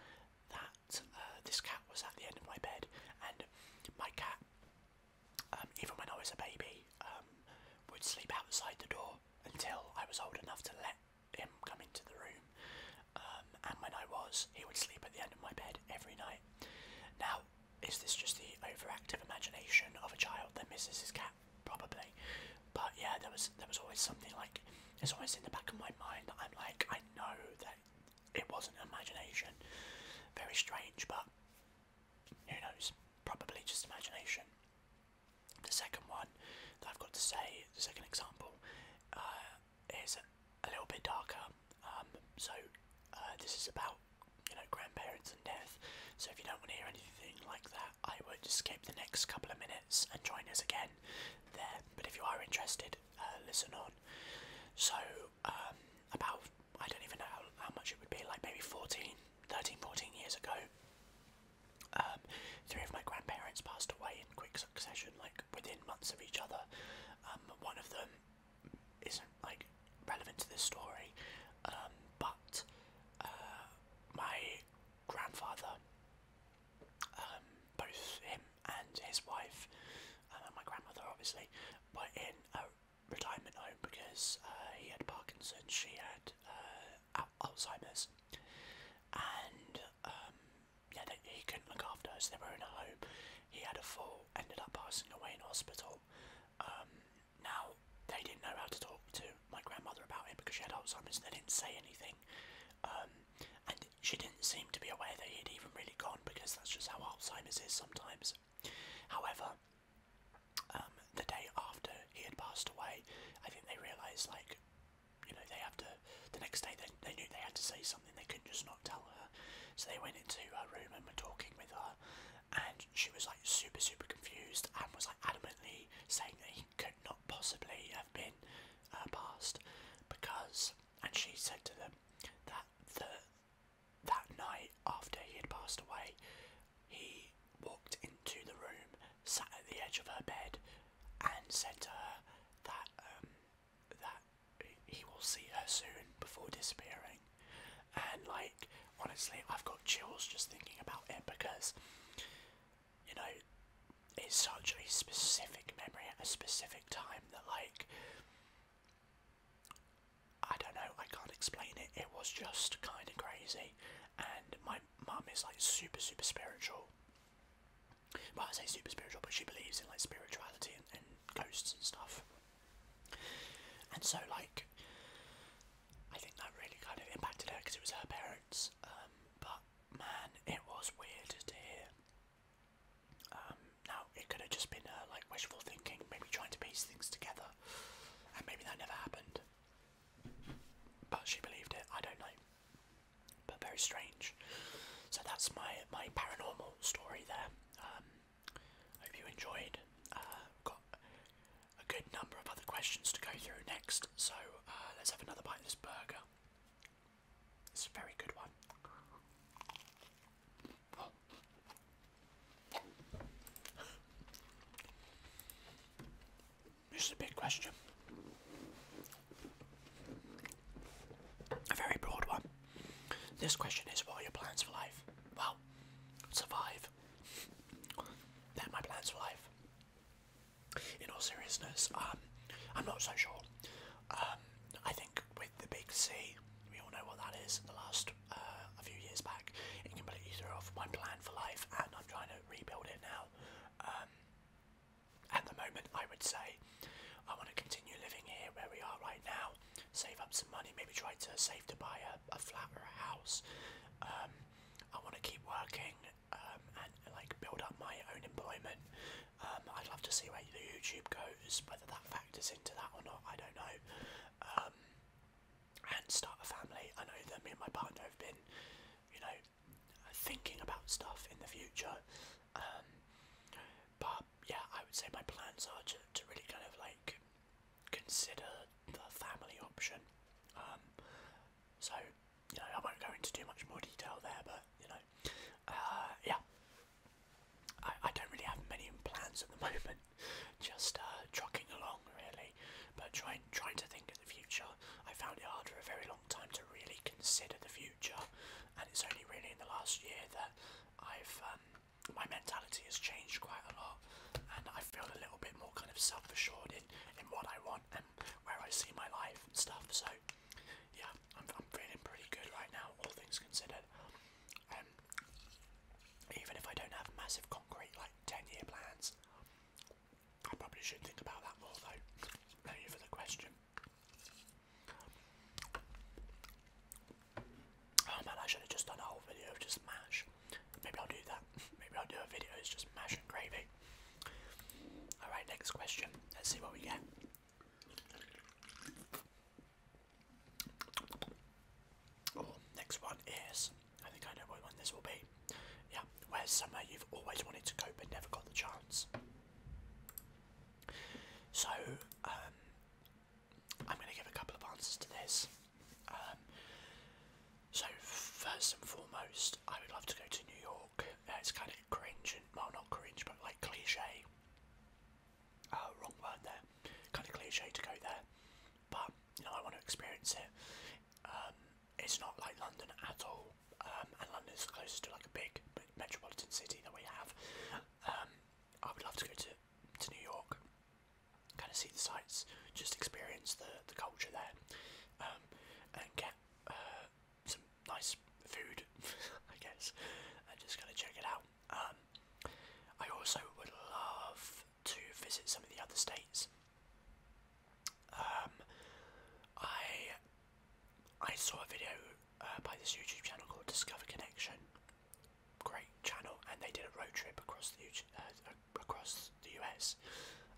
Speaker 1: that uh, this cat was at the end of my bed, and my cat, um, even when I was a baby, um, would sleep outside the door until I was old enough to let him come into the room. Um, and when I was, he would sleep at the end of my bed every night. Now, is this just the overactive imagination of a child that misses his cat? Probably. But yeah, there was there was always something like it's always in the back of my mind that I'm like I know that it wasn't imagination. Very strange, but who knows? Probably just imagination. The second one that I've got to say, the second example, uh, is a little bit darker. Um, so uh, this is about you know grandparents and death. So if you don't want to hear anything like that, I would skip the next couple of minutes and join us again there. But if you are interested, uh, listen on. So um, about I don't even know how, much it would be like maybe 14, 13, 14 years ago. Um, three of my grandparents passed away in quick succession, like within months of each other. Um, one of them isn't like relevant to this story, but uh, my grandfather, um, both him and his wife uh, and my grandmother obviously were in a retirement home because uh, he had Parkinson's, she had uh, Alzheimer's and um, yeah, he couldn't look after us. so they were in a home. He had a fall, ended up passing away in hospital. Um, now, they didn't know how to talk to my grandmother about it because she had Alzheimer's and they didn't say anything um, and she didn't seem to be aware that he'd even really gone because that's just how Alzheimer's is sometimes. However, um, the day after he had passed away, I think they realised, like, you know, they have to. The next day, they, they knew they had to say something, they couldn't just not tell her. So they went into her room and were talking with her, and she was like super, super confused and was like adamantly saying that he could not possibly have been uh, passed because. And she said to them, that the, that night after he had passed away, he walked into the room, sat at the edge of her bed, and said to her that um, that he will see her soon before disappearing. And like honestly, I've got chills just thinking about it because you know it's such a specific memory, a specific time that like I don't know, I can't explain it. It was just kind of crazy, and my mum is like super, super spiritual. Well, I say super spiritual, but she believes in like spirituality and, ghosts and stuff. And so, like, I think that really kind of impacted her because it was her parents. Um, but man, it was weird to hear um, now, it could have just been uh, like wishful thinking, maybe trying to piece things together, and maybe that never happened. But she believed it, I don't know. But very strange. So that's my, my paranormal story there. Um, hope you enjoyed. Uh, got a good number of other questions to go through next, so uh, let's have another bite of this burger. It's a very good one. This is a big question. A very broad one. This question is what are your plans for life? Well, survive. That's my plans for life. In all seriousness, um, I'm not so sure. Um, I think with the big C. We all know what that is. In The last uh, a few years back, it completely threw off my plan for life, and I'm trying to rebuild it now. Um, at the moment, I would say I want to continue living here where we are right now, save up some money, maybe try to save to buy a, a flat or a house. Um, I want to keep working um, and like build up my own employment. Um, I'd love to see where the YouTube goes, whether that factors into that or not, I don't know. Um, and start a family. I know that me and my partner have been, you know, thinking about stuff in the future. Um, but yeah, I would say my plans are to, to really kind of like consider the family option. Um, so, you know, I won't go into too much more detail there, but you know, uh, yeah, I, I don't really have many plans at the moment. Just uh, trucking along, really. But trying trying to think of the future. I found it hard for a very long time to really consider the future, and it's only really in the last year that I've um, my mentality has changed quite a lot, and I feel a little bit more kind of self-assured in in what I want and where I see my life and stuff. So yeah, I'm, feeling pretty good right now, all things considered. Um, even if I don't have massive concrete like 10 year plans, I probably should think about that more though. Thank you for the question. Oh man, I should have just done a whole video of just mash. Maybe I'll do that. Maybe I'll do a video, it's just mash and gravy. Alright, next question. Let's see what we get. Oh, next one is I think I know what one this will be. Yeah, where's somewhere you've always wanted to go but never got the chance. So, um, I'm going to give a couple of answers to this. Um, so, first and foremost, I would love to go to New York. Uh, it's kind of cringe, and, well, not cringe, but like cliche. Oh, wrong word there. Kind of cliche to go there, but you know I want to experience it. Um, it's not like London at all, um, and London is closest to like a big metropolitan city that we have. Um, I would love to go to to New York, kind of see the sights, just experience the the culture there, um, and get uh, some nice food, I guess, and just gonna check it out. Um, I also would love to visit some of the other states. Um, I I saw a video uh, by this YouTube channel called Discover Connection. Great channel, and they did a road trip across the U uh, across the US,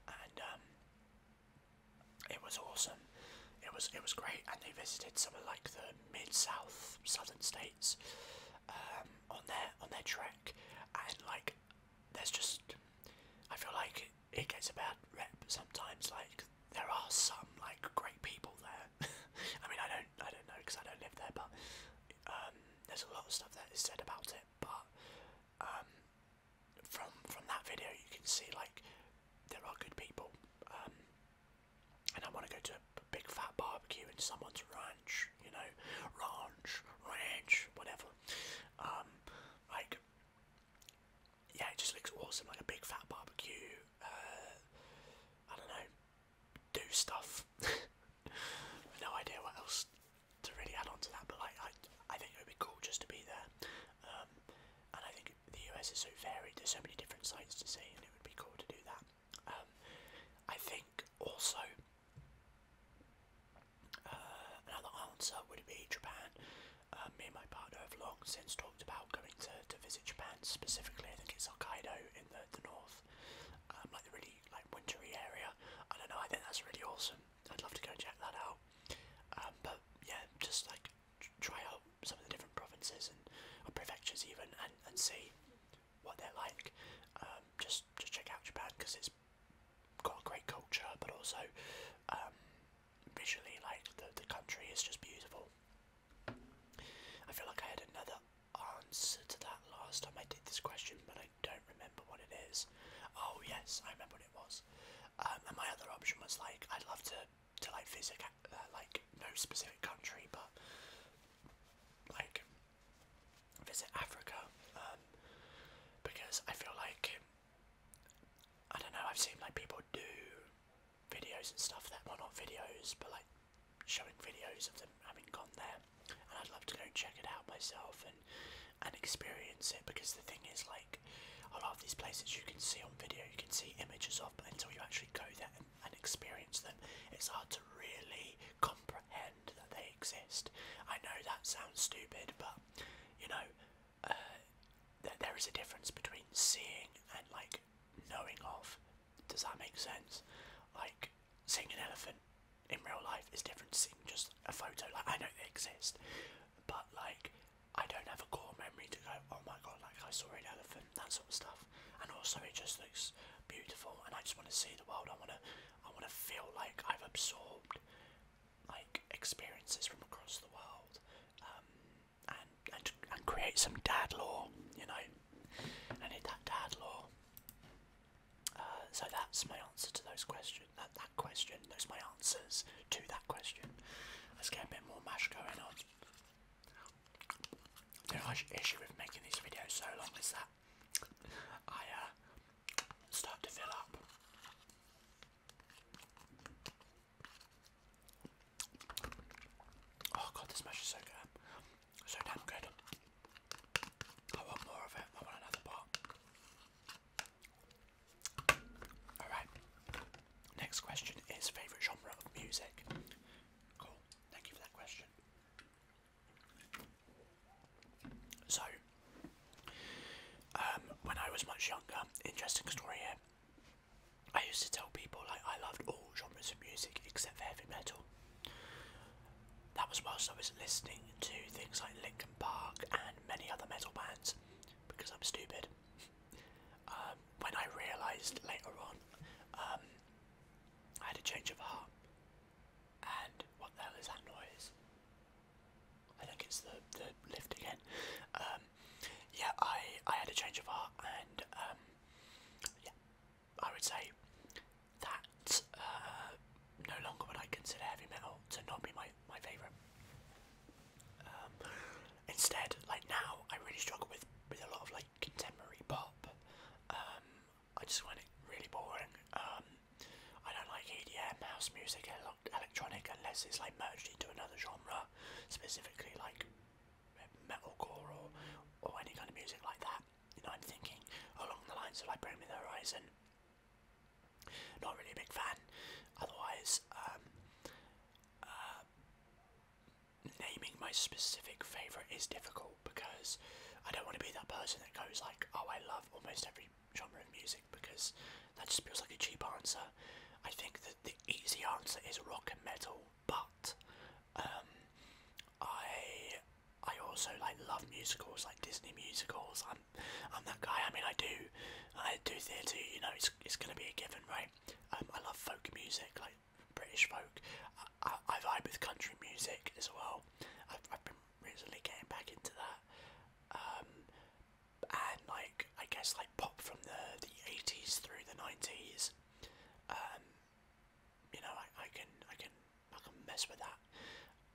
Speaker 1: and um, it was awesome. It was it was great, and they visited some like the mid south southern states um, on their on their trek, and like there's just I feel like it gets a bad rep sometimes. Like there are some like great people there. I mean I don't I don't know because I don't live there, but um, there's a lot of stuff that is said about it. But um, from from that video you can see like there are good people and I want to go to a big fat barbecue in someone's ranch, you know, ranch, ranch, whatever. Um, like, yeah, it just looks awesome, like a big fat barbecue. Uh, I don't know, do stuff. no idea what else to really add on to that, but like, I, I think it would be cool just to be there. Um, and I think the US is so varied, there's so many different sites to see, and it would be cool to do that. Um, I think also uh, another answer would be Japan. Uh, me and my partner have long since talked about going to, to visit Japan specifically. I think it's Hokkaido in the, the north, um, like the really like wintry area. I don't know. I think that's really awesome. I'd love to go and check that out. Um, but yeah, just like try out some of the different provinces and prefectures even and, and see what they're like. Um, just just check out Japan because it's got a great culture, but also um, visually, like the the country is just beautiful. I feel like I had another answer to that last time I did this question, but I don't remember what it is. Oh yes, I remember what it was. Um, and my other option was like I'd love to to like visit uh, like no specific country, but like visit Africa um, because I feel like I don't know. I've seen like people do videos and stuff that were not videos, but like showing videos of them having gone there, and I'd love to go and check it out myself and and experience it because the thing is like a lot of these places you can see on video, you can see images of, but until you actually go there and experience them, it's hard to really comprehend that they exist. I know that sounds stupid, but you know, uh, there is a difference between seeing and like knowing of. Does that make sense? Like seeing an elephant in real life is different to seeing just a photo. Like I know they exist, but like I don't have a core memory to go, oh my god, like I saw an elephant. That's stuff. And also, it just looks beautiful, and I just want to see the world. I want to, I want to feel like I've absorbed like experiences from across the world, um, and and and create some dad law, you know. I need that dad uh, so that's my answer to those questions. That that question. Those my answers to that question. Let's get a bit more mash going on. The large issue with making these videos so long is that I uh, start to fill up. Oh god, this mash is so good. So damn good. I want more of it. I want another pot. Alright. Next question is favourite genre of music. Cool. Thank you for that question. So, um, when I was much younger, interesting story here. I used to tell people like I loved all genres of music except for heavy metal. That was whilst I was listening to things like Linkin Park and many other metal bands because I'm stupid. Um, when I realised later on, um, I had a change of heart. And what the hell is that noise? I think it's the, the lift again. Um, yeah, I, I had a change of heart, and yeah, I would say that uh, no longer would I consider heavy metal to not be my, my favourite. Instead, like now, I really struggle with with a lot of like contemporary pop. Um, I just find it really boring. Um, I don't like EDM, house music, ele electronic unless it's like merged into another genre, specifically like metalcore or or any kind of music like that. You know, I'm thinking along the lines of like Bring Me the Horizon. Not really a big fan. Otherwise, um, uh, naming my specific favourite is difficult because I don't want to be that person that goes like, oh, I love almost every genre of music because that just feels like a cheap answer. I think that the easy answer is rock and metal, but um, I I also like love musicals, like Disney musicals. I'm I'm that guy. I mean, I do I do theatre. You know, it's it's gonna be a given, right? Um, I love folk music, like like British folk. I, I, I vibe with country music as well. I've, I've been recently getting back into that. Um, and like I guess like pop from the the 80s through the 90s. Um, you know, I, I can I can I can mess with that.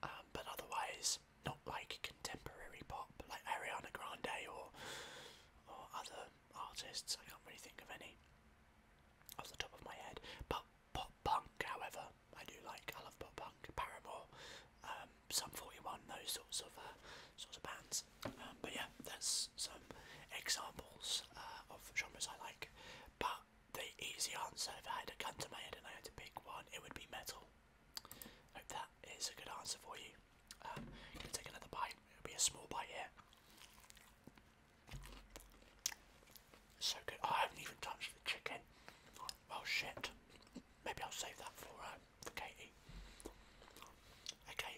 Speaker 1: Um, but otherwise, not like contemporary pop like Ariana Grande or or other um, artists. I can't really think of any off the top of my head. But pop punk, however, I do like. I love pop punk, Paramore, um, Sum 41, those sorts of uh, sorts of bands. Um, but yeah, that's some examples uh, of genres I like. But the easy answer, if I had to come to my head and I had to pick one, it would be metal. Hope that is a good answer for you can um, take another bite. It'll be a small bite here. So good. I haven't even touched the chicken. Oh shit. Maybe I'll save that for uh, for Katie. Okay.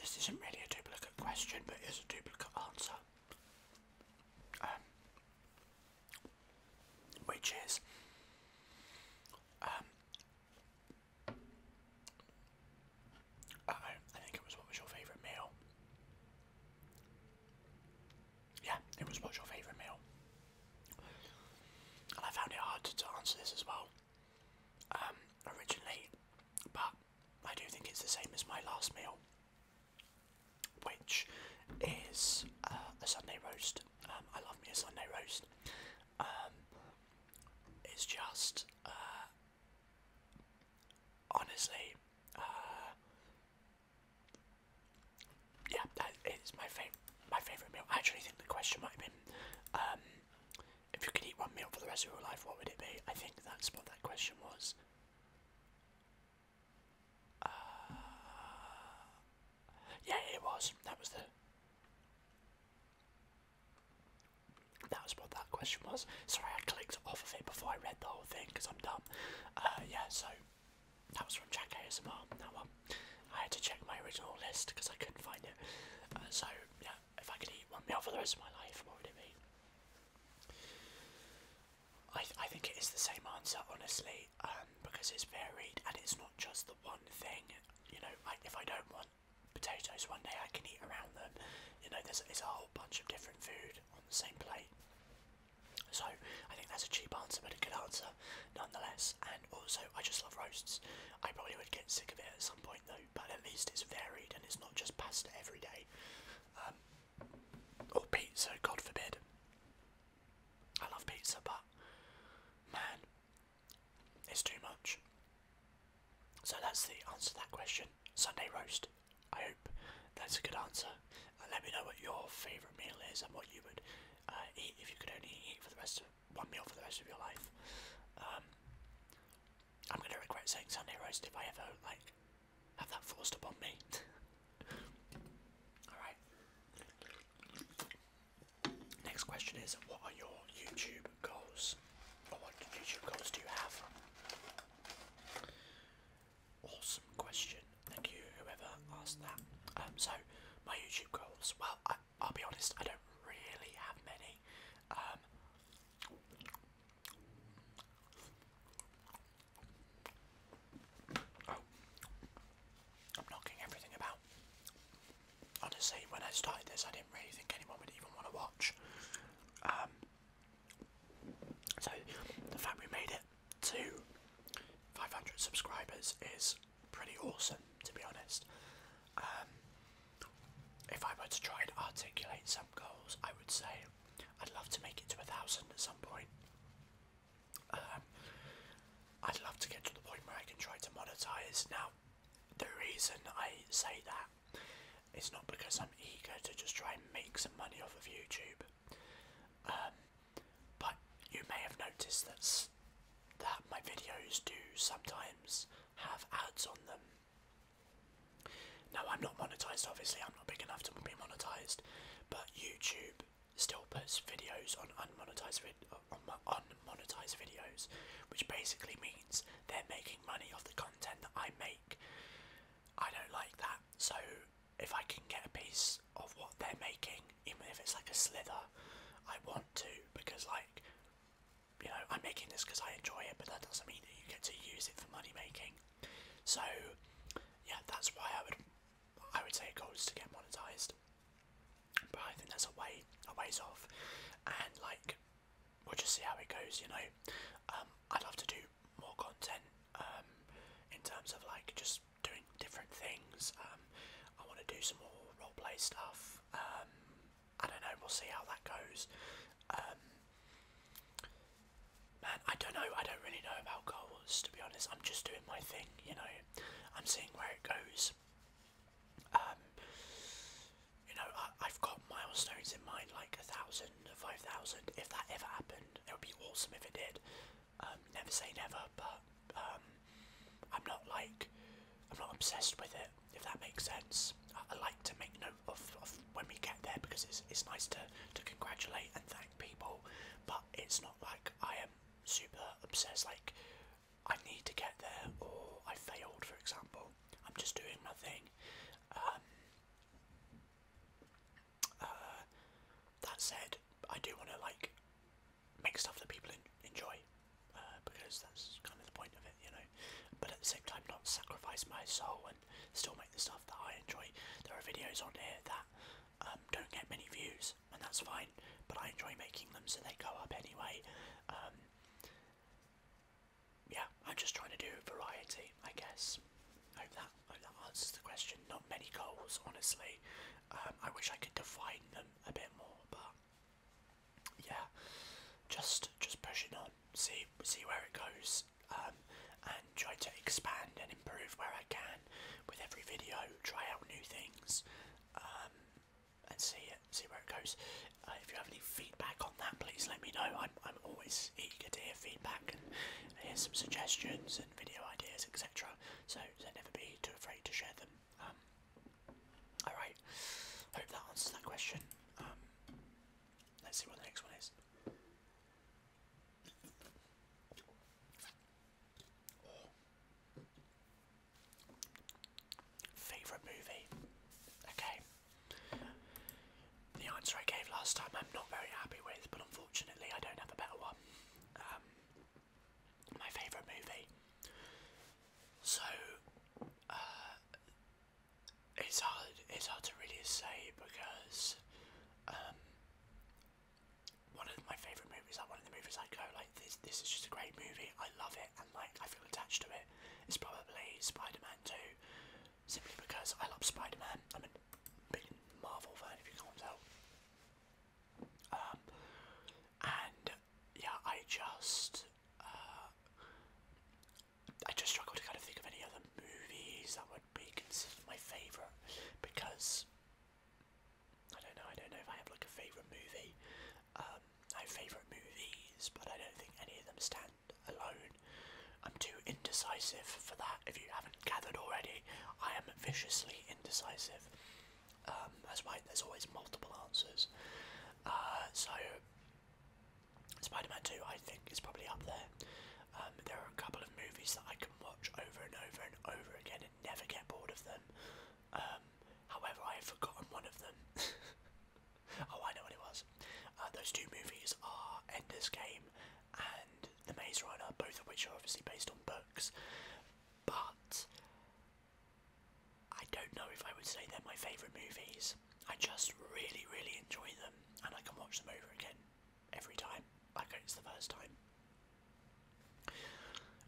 Speaker 1: This isn't really a duplicate question, but it is a duplicate answer. Um, which is, um, uh I think it was what was your favourite meal? Yeah, it was what's your favourite meal? And I found it hard to, answer this as well um, originally, but I do think it's the same as my last meal, which is uh, a Sunday roast. Um, I love me a Sunday roast. Um, it's just uh, honestly, uh, yeah, that is my favorite. My favorite meal. I actually think the question might have been, um, if you could eat one meal for the rest of your life, what would it be? I think that's what that question was. Uh, yeah, it was. That was the. That was what that question was. Sorry, I clicked off of it before I read the whole thing because I'm dumb. Uh, yeah, so that was from Jack ASMR. That one. I had to check my original list because I couldn't find it. Uh, so yeah, if I could eat one meal for the rest of my life, what would it be? I, I think it is the same answer, honestly, um, because it's varied and it's not just the one thing. You know, like if I don't want potatoes one day I can eat around them. You know, there's, a whole bunch of different food on the same plate. So I think that's a cheap answer, but a good answer nonetheless. And also, I just love roasts. I probably would get sick of it at some point though, but at least it's varied and it's not just pasta every day, um, or pizza. God forbid. I love pizza, but man, it's too much. So that's the answer to that question. Sunday roast. I hope that's a good answer. And let me know what your favourite meal is and what you would uh, eat if you could only eat for the rest of one meal for the rest of your life. Um, I'm gonna regret saying Sunday roast if I ever like have that forced upon me. Alright. Next question is what are your YouTube goals? What condition codes do you have? Awesome question. Thank you, whoever asked that. Um, so, my YouTube goals. Well, I, I'll be honest, I don't really have many. Um, oh, I'm knocking everything about. Honestly, when I started this, I didn't really think anyone would even want to watch. Um, so the fact we made it to 500 subscribers is pretty awesome, to be honest. Um, if I were to try and articulate some goals, I would say I'd love to make it to a thousand at some point. Um, I'd love to get to the point where I can try to monetize. Now, the reason I say that it's not because I'm eager to just try and make some money off of YouTube. Um, but you may have noticed that that my videos do sometimes have ads on them. Now I'm not monetized. Obviously, I'm not big enough to be monetized, but YouTube still puts videos on unmonetized vid on unmonetized videos, which basically means they're making money off the content that I make, I don't like that. So if I can get a piece of what they're making, even if it's like a slither, I want to because like you know I'm making this because I enjoy it, but that doesn't mean that you get to use it for money making. So yeah, that's why I would I would say a goal is to get monetized. But I think that's a way a ways off, and like we'll just see how it goes, you know. Um, I'd love to do more content um, in terms of like just doing different things. Um, I want to do some more roleplay stuff. I don't know. We'll see how that goes. man, I don't know. I don't really know about goals to be honest. I'm just doing my thing, you know. I'm seeing where it goes. You know, I, I've got milestones in mind, like a thousand, five thousand. If that ever happened, it would be awesome if it did. Um, never say never, but um, I'm not like I'm not obsessed with it. If that makes sense, I, I like to make note of, of when we get there because it's it's nice to to congratulate and thank people. But it's not like I am super obsessed. Like I need to get there, or I failed, for example. I'm just doing my thing. Um, uh, that said, I do want to like make stuff that people enjoy uh, because that's kind of the point of it, you know. But at the same time, not sacrifice my soul and still make the stuff that I enjoy. There are videos on here that um, don't get many views, and that's fine. But I enjoy making them, so they go up anyway. Um, yeah, I'm just trying to do variety, I guess. hope that, hope that answers the question. Not many goals, honestly. Um, I wish I could define them a bit more, but yeah, just just pushing on, see see where it goes, um, and try to expand and improve where I can with every video. Try out new things, um, and see it see where it goes. if you have any feedback on that, please let me know. I'm, I'm always eager to hear feedback and hear some suggestions and video ideas, etc. So, don't never be too afraid to share them. Um, all right. I hope that answers that question. Um, let's see what the next one is. Favourite movie? Okay, the answer I gave last time I'm not very happy with, but unfortunately I don't have a better one. Um, my favourite movie. So uh, it's hard. It's hard to really say because um, one of my favourite movies, like one of the movies I go like this. This is just a great movie. I love it and like I feel attached to it, it is probably Spider-Man 2 simply because I love Spider-Man. I'm a big Marvel fan if you can't tell. Um, and yeah, I just uh, I just struggle to kind of think of any other movies that would be considered my favourite because I don't know. I don't know if I have like a favourite movie. Um, I have favourite movies, but I don't think any of them stand alone. I'm too indecisive for that. If you haven't gathered already, I am viciously indecisive. Um, that's why there's always multiple answers. Uh, so, Spider-Man 2, I think, is probably up there. Um, there are a couple of movies that I can watch over and over and over again and never get bored of them. Um, however, I have forgotten one of them. Oh, I know what it was. Uh, those two movies are Ender's Game and The Maze Runner, both of which are obviously based on books. But I don't know if I would say they're my favourite movies. I just really, really enjoy them, and I can watch them over again every time, like it's the first time.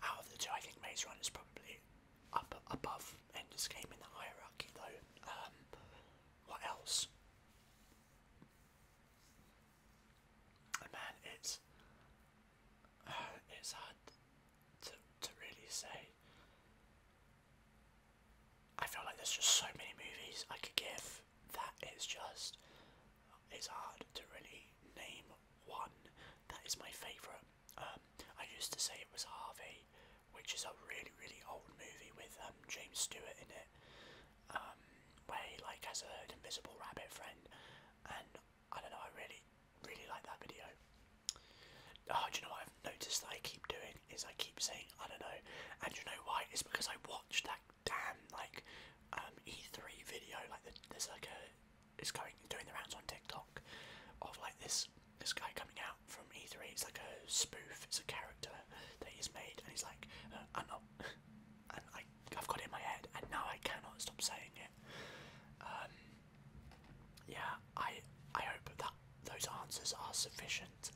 Speaker 1: Out of the two, I think Maze Runner is probably up above Ender's Game in the hierarchy, though. Um, what else? And man, it's it's hard to to really say. I feel like there's just so many movies I could give that just it's hard to really name one that is my favourite. Um, I used to say it was Harvey, which is a really really old movie with um, James Stewart in it, um, where he like has an invisible rabbit friend, and I don't know, I really really like that video. Oh, do you know what I've noticed that I keep doing is I keep saying I don't know, and do you know why? It's because I watched that damn like um, E3 video. Like the, there's like a it's going doing the rounds on TikTok of like this this guy coming out from E3. It's like a spoof. It's a character that he's made, and he's like, uh, I'm not, and I, I've got it in my head, and now I cannot stop saying it. Um, yeah, I, I hope that those answers are sufficient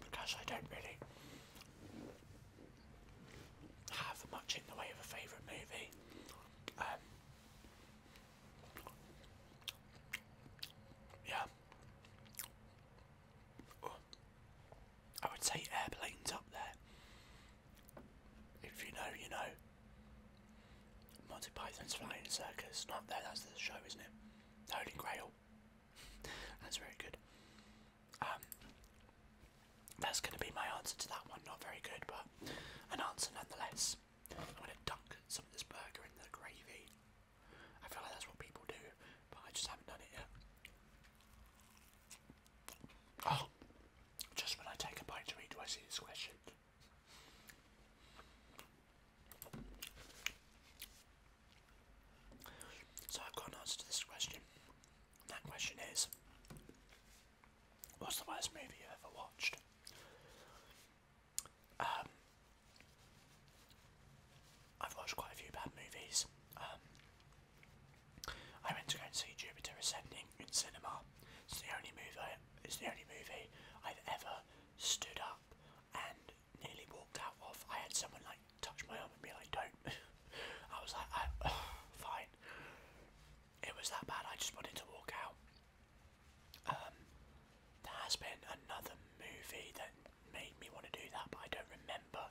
Speaker 1: because I don't really have much in the way of a favourite movie. Um, yeah. I would say airplanes up there. If you know, you know. Monty Python's Flying Circus. Not there, that's the show, isn't it? Holy Grail. that's very good. Um, that's going to be my answer to that one. Not very good, but an answer nonetheless. I'm going to dunk some of this burger in the gravy. I feel like that's what people do, but I just haven't done it yet. Oh, just when I take a bite to eat, do I see this question? So I've got an answer to this question. that question is, what's the worst movie you ever watched? Um, I've watched quite a few bad movies. Um, I went to go and see Jupiter Ascending in cinema. It's the only movie. I, it's the only movie I've ever stood up and nearly walked out of. I had someone like touch my arm and be like, "Don't." I was like, I, "Fine." It was that bad. I just wanted to walk out. Um, there has been another movie that made me want to do that, but I don't remember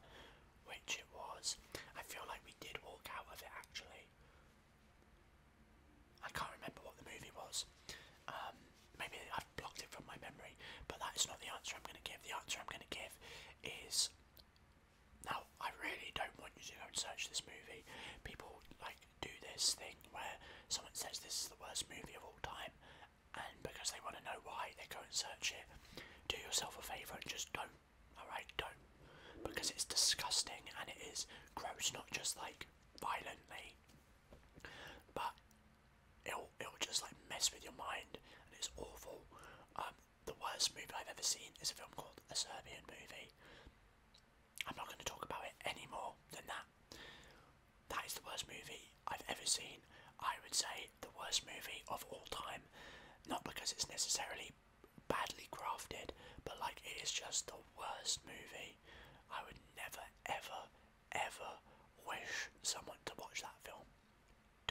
Speaker 1: which it was. I feel like we did walk out of it actually. I can't remember what the movie was. Um, maybe I've blocked it from my memory, but that is not the answer I'm going to give. The answer I'm going to give is now. I really don't want you to go and search this movie. People like do this thing where someone says this is the worst movie of all time, and because they want to know why, they go and search it. Do yourself a favour and just don't. Alright, don't. Because it's disgusting and it is gross, not just like violently, but it'll, it'll just like mess with your mind and it's awful. Um, the worst movie I've ever seen is a film called A Serbian Movie. I'm not going to talk about it any more than that. That is the worst movie I've ever seen. I would say the worst movie of all time. Not because it's necessarily badly crafted, but like it is just the worst movie. I would never, ever, ever wish someone to watch that film.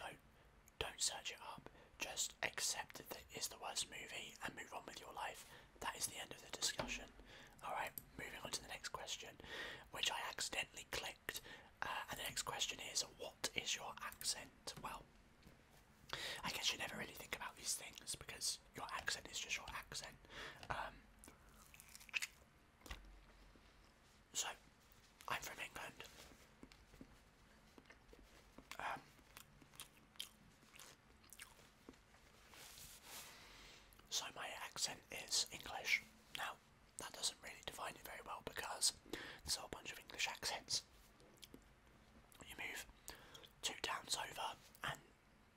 Speaker 1: Don't, don't search it up. Just accept that it is the worst movie and move on with your life that is the end of the discussion. Alright, moving on to the next question, which I accidentally clicked. Uh, and the next question is, what is your accent? Well, I guess you never really think about these things because your accent is just your accent. Um, so, I'm from England. Um, so my accent is English. Now, that doesn't really define it very well because there's a whole bunch of English accents. You move two towns over and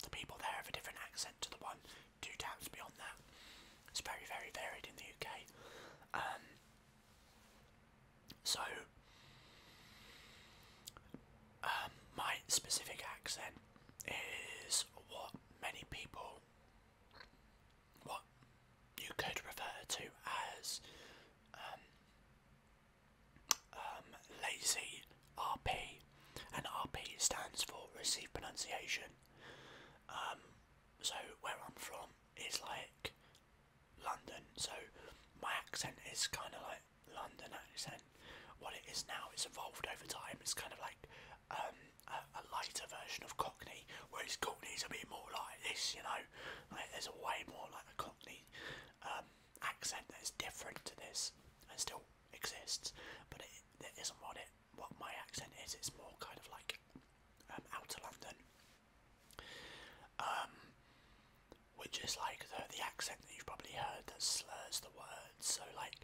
Speaker 1: the people there have a different accent to the one two towns beyond that. It's very, very varied in the UK. Um, so, um, my specific accent is what many people, what you could refer to as um, um, lazy RP, and RP stands for received pronunciation. Um, so where I'm from is like London, so my accent is kind of like London accent. What it is now, it's evolved over time. It's kind of like um, a, lighter version of Cockney, whereas Cockney's a bit more like this, you know. Like there's a way more like a Cockney um, accent that is different to this and still exists, but it isn't what it what my accent is. It's more kind of like um, outer London. Um, which is like the, the accent that you've probably heard that slurs the words. So like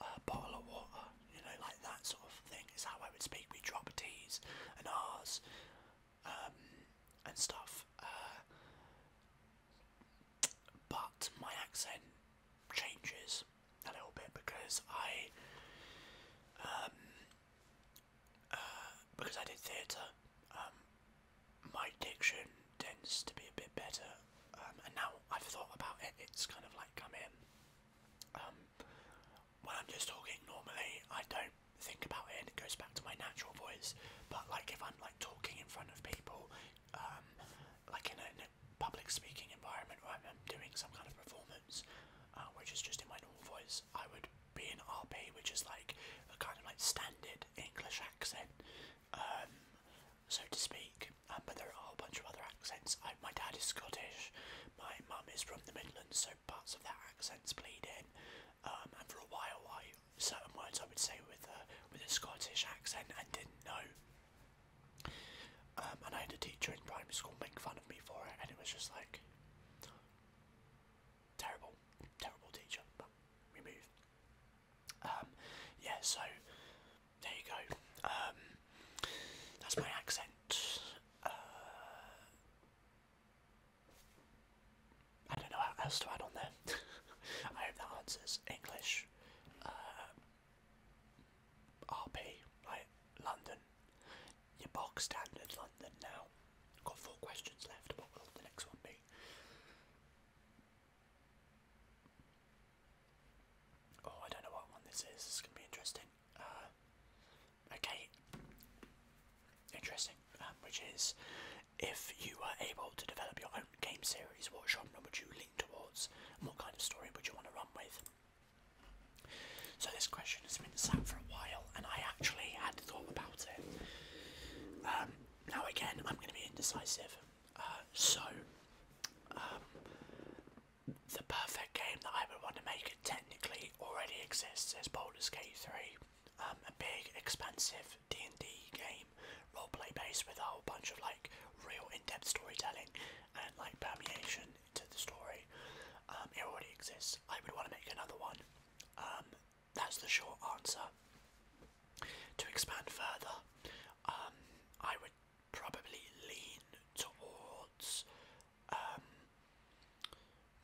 Speaker 1: a bottle of water, you know, like that sort of thing is how I would speak. We drop T's and R's um, and stuff. Uh, but my accent changes a little bit because I, um, uh, because I did theatre, um, my diction tends to be a bit better um, and now I've thought about it, it's kind of like come in. Um, when I'm just talking normally, I don't think about it, and it goes back to my natural voice. But like if I'm like talking in front of people, um, like in a, public speaking environment where I'm doing some kind of performance, uh, which is just in my normal voice, I would be in RP, which is like a kind of like standard English accent, um, so to speak. Um, but there are a bunch of other accents. my dad is Scottish, my mum is from the Midlands, so parts of that accent's bleed in. Um, and for a while, I certain words I would say with a with a Scottish accent and didn't know. and I had a teacher in primary school make fun of me for it, and it was just like terrible, terrible teacher. But we moved. Um, yeah, so there you go. Um, that's my accent. Uh, I don't know how else to add on there. I hope that answers English, uh, RP, like London, your bog standard London now. got four questions left. What will the next one be? Oh, I don't know what one this is. This is gonna be interesting. Uh, okay, interesting. Um, which is, if you were able to develop your own game series, what genre would you lean towards, and what kind of story would you want to run with? So this question has been sat for a while, and I actually had thought about it. Um, now again, I'm going to be indecisive so, um, the perfect game that I would want to make it technically already exists is Baldur's Gate 3. Um, a big, expansive D&D game, role play based with a whole bunch of like real in-depth storytelling and like permeation to the story. Um, it already exists. I would want to make another one. that's the short answer. To expand further, I would probably lean towards um,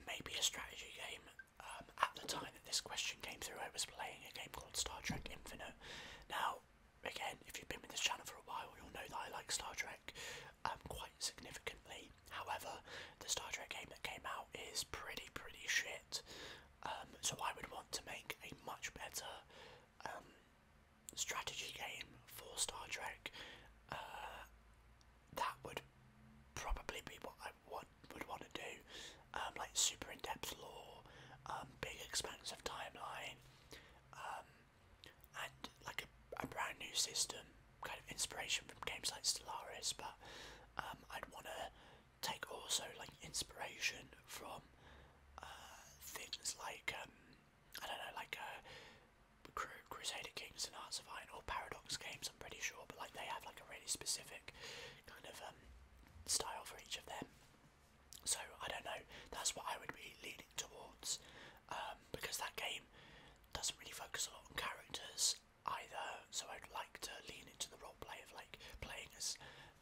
Speaker 1: maybe a strategy game. Um, at the time that this question came through, I was playing a game called Star Trek Infinite. Now, again, if you've been with this channel for a while, you'll know that I like Star Trek um, quite significantly. However, the Star Trek game that came out is pretty, pretty shit. Um, so I would want to make a much better um, strategy game for Star Trek, uh, that would probably be what I want, would want to do. Um, like super in depth lore, um, big expansive timeline, um, and like a, a brand new system, kind of inspiration from games like Stellaris, but um, I'd want to take also like inspiration from uh, things like um, I don't know, like uh, Cru Crusader Kings and Hearts of Iron or Paradox games. I'm pretty sure, but like they have like a really specific kind of um, style for each of them. So I don't know. That's what I would be leaning towards um, because that game doesn't really focus a lot on characters either. So I'd like to lean into the role play of like playing as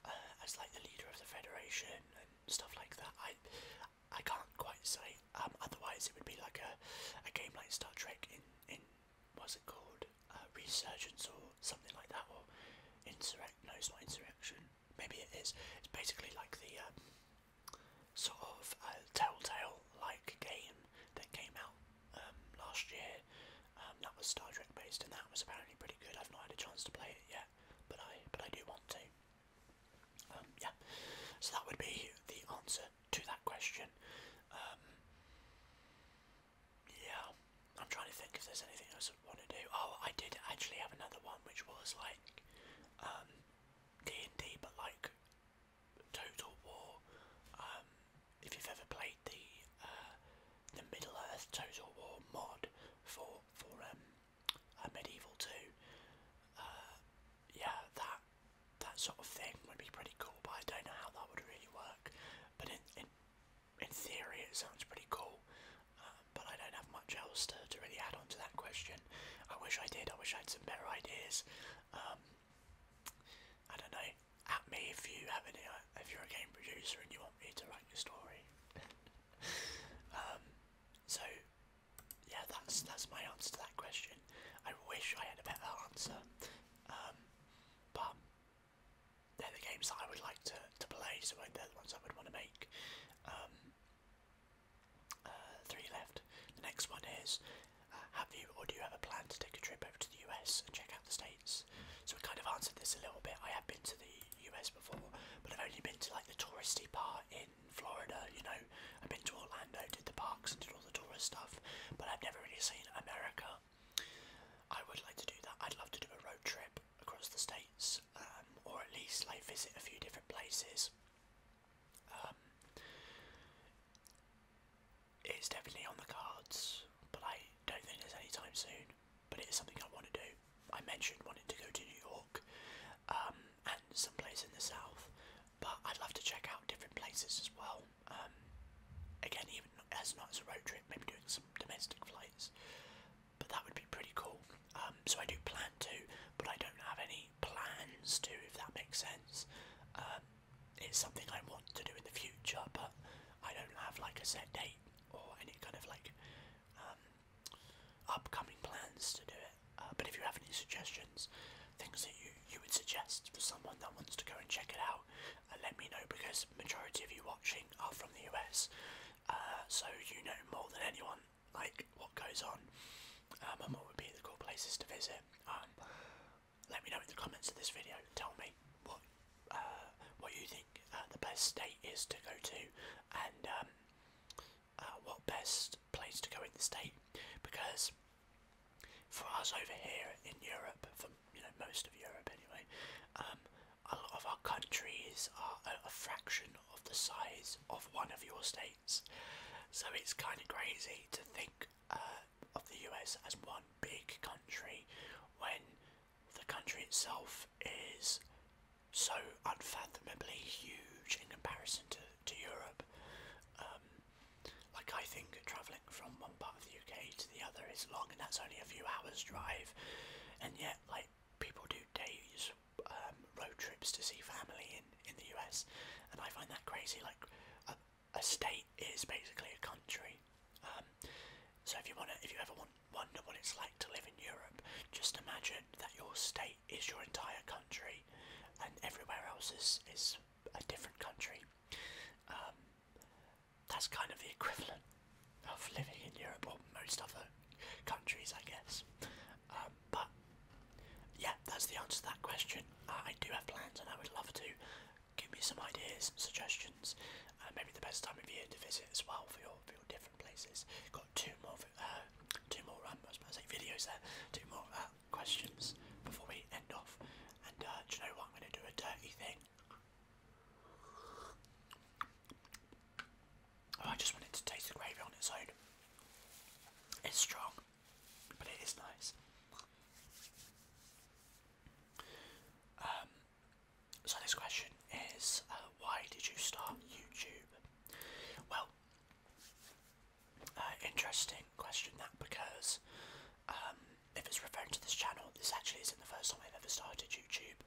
Speaker 1: uh, as like the leader of the federation and stuff like that. I I can't quite say. Um, otherwise, it would be like a a game like Star Trek in in what's it called uh, Resurgence or something like that or Insurrection. No, it's not Insurrection. Maybe it is. It's basically like the um, sort of uh, Telltale like game that came out um, last year. Um, that was Star Trek based, and that was apparently pretty good. I've not had a chance to play it yet, but I but I do want to. Um, yeah, so that would be the answer to that question. Um, yeah, I'm trying to think if there's anything else I want to do. Oh, I did actually have another one which was like um, D and D, but like Total War. Um, if you've ever played the uh, the Middle Earth Total War mod for for um, uh, Medieval 2, uh, yeah, that that sort of thing would be pretty cool, but I don't know how that would really work. But in in, in theory, it sounds pretty cool. Um, but I don't have much else to, to really add on to that question. I wish I did. I wish I had some better ideas. Um, I don't know. At me if you have any. Uh, if you're a game producer and you want me to write your story. Um, so yeah, that's that's my answer to that question. I wish I had a better answer, um, but they're the games that I would like to, to play, so they're the ones I would want to make. Um, uh, three left. The next one is, uh, have you or do you have a plan to take a trip over to the US and check out the states? So we kind of answered this a little bit. I have been to the the US before, but I've only been to like the touristy part in Florida, you know. I've been to Orlando, did the parks and did all the tourist stuff, but I've never really seen America. I would like to do that. I'd love to do a road trip across the states, um, or at least like visit a few different places. Um, it's definitely on the cards, but I don't think there's any time soon but it is something I want to do. I mentioned wanting to go to New York um, and some place in the south, but I'd love to check out different places as well. Um, again, even as not as a road trip, maybe doing some domestic flights, but that would be pretty cool. Um, so I do plan to, but I don't have any plans to, if that makes sense. it's something I want to do in the future, but I don't have like a set date or any kind of like upcoming plans to do it. Uh, but if you have any suggestions, things that you you would suggest for someone that wants to go and check it out, uh, let me know because majority of you watching are from the US, uh, so you know more than anyone like what goes on um, and what would be the cool places to visit. Um, let me know in the comments of this video. Tell me what uh, what you think uh, the best state is to go to and um, uh, what best place to go in the state because for us over here in Europe, for you know most of Europe anyway, um, a lot of our countries are a, fraction of the size of one of your states, so it's kind of crazy to think uh, of the US as one big country when the country itself is so unfathomably huge in comparison to, to Europe. Um, like, I think travelling from one part of the UK to the other is long, and that's only a few hours' drive, and yet, like, people do days um, road trips to see family in, in the US, and I find that crazy. Like, a, a state is basically a country. Um, so if you want to, if you ever want wonder what it's like to live in Europe. Just imagine that your state is your entire country, and everywhere else is is a different country. Um, that's kind of the equivalent of living in Europe or most other countries, I guess. Um, but yeah, that's the answer to that question. I do have plans, and I would love to give me some ideas, suggestions. Uh, maybe the best time of year to visit as well for your, for your different places two more, uh, two more. Um, I was videos there. Two more uh, questions before we end off. And uh, do you know what? I'm going to do a dirty thing. Oh, I just wanted to taste the gravy on its own. It's strong, but it is nice. Um, so this question is, uh, why did you start YouTube? Well, uh, interesting question that because um, if it's referring to this channel, this actually isn't the first time I've ever started YouTube.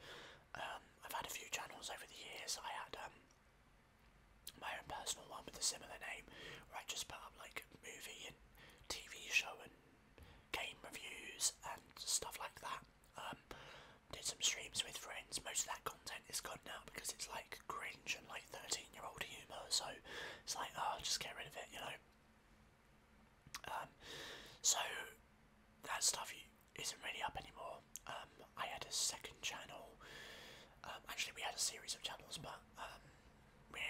Speaker 1: Um, I've had a few channels over the years. I had um, my own personal one with a similar name where I just put up like movie and TV show and game reviews and stuff like that. Um, did some streams with friends. Most of that content is gone now because it's like grinch and like 13 year old humour. So it's like, oh, just get rid of it, you know. Um, so that stuff isn't really up anymore. Um, I had a second channel. Um, actually, we had a series of channels, but um, we,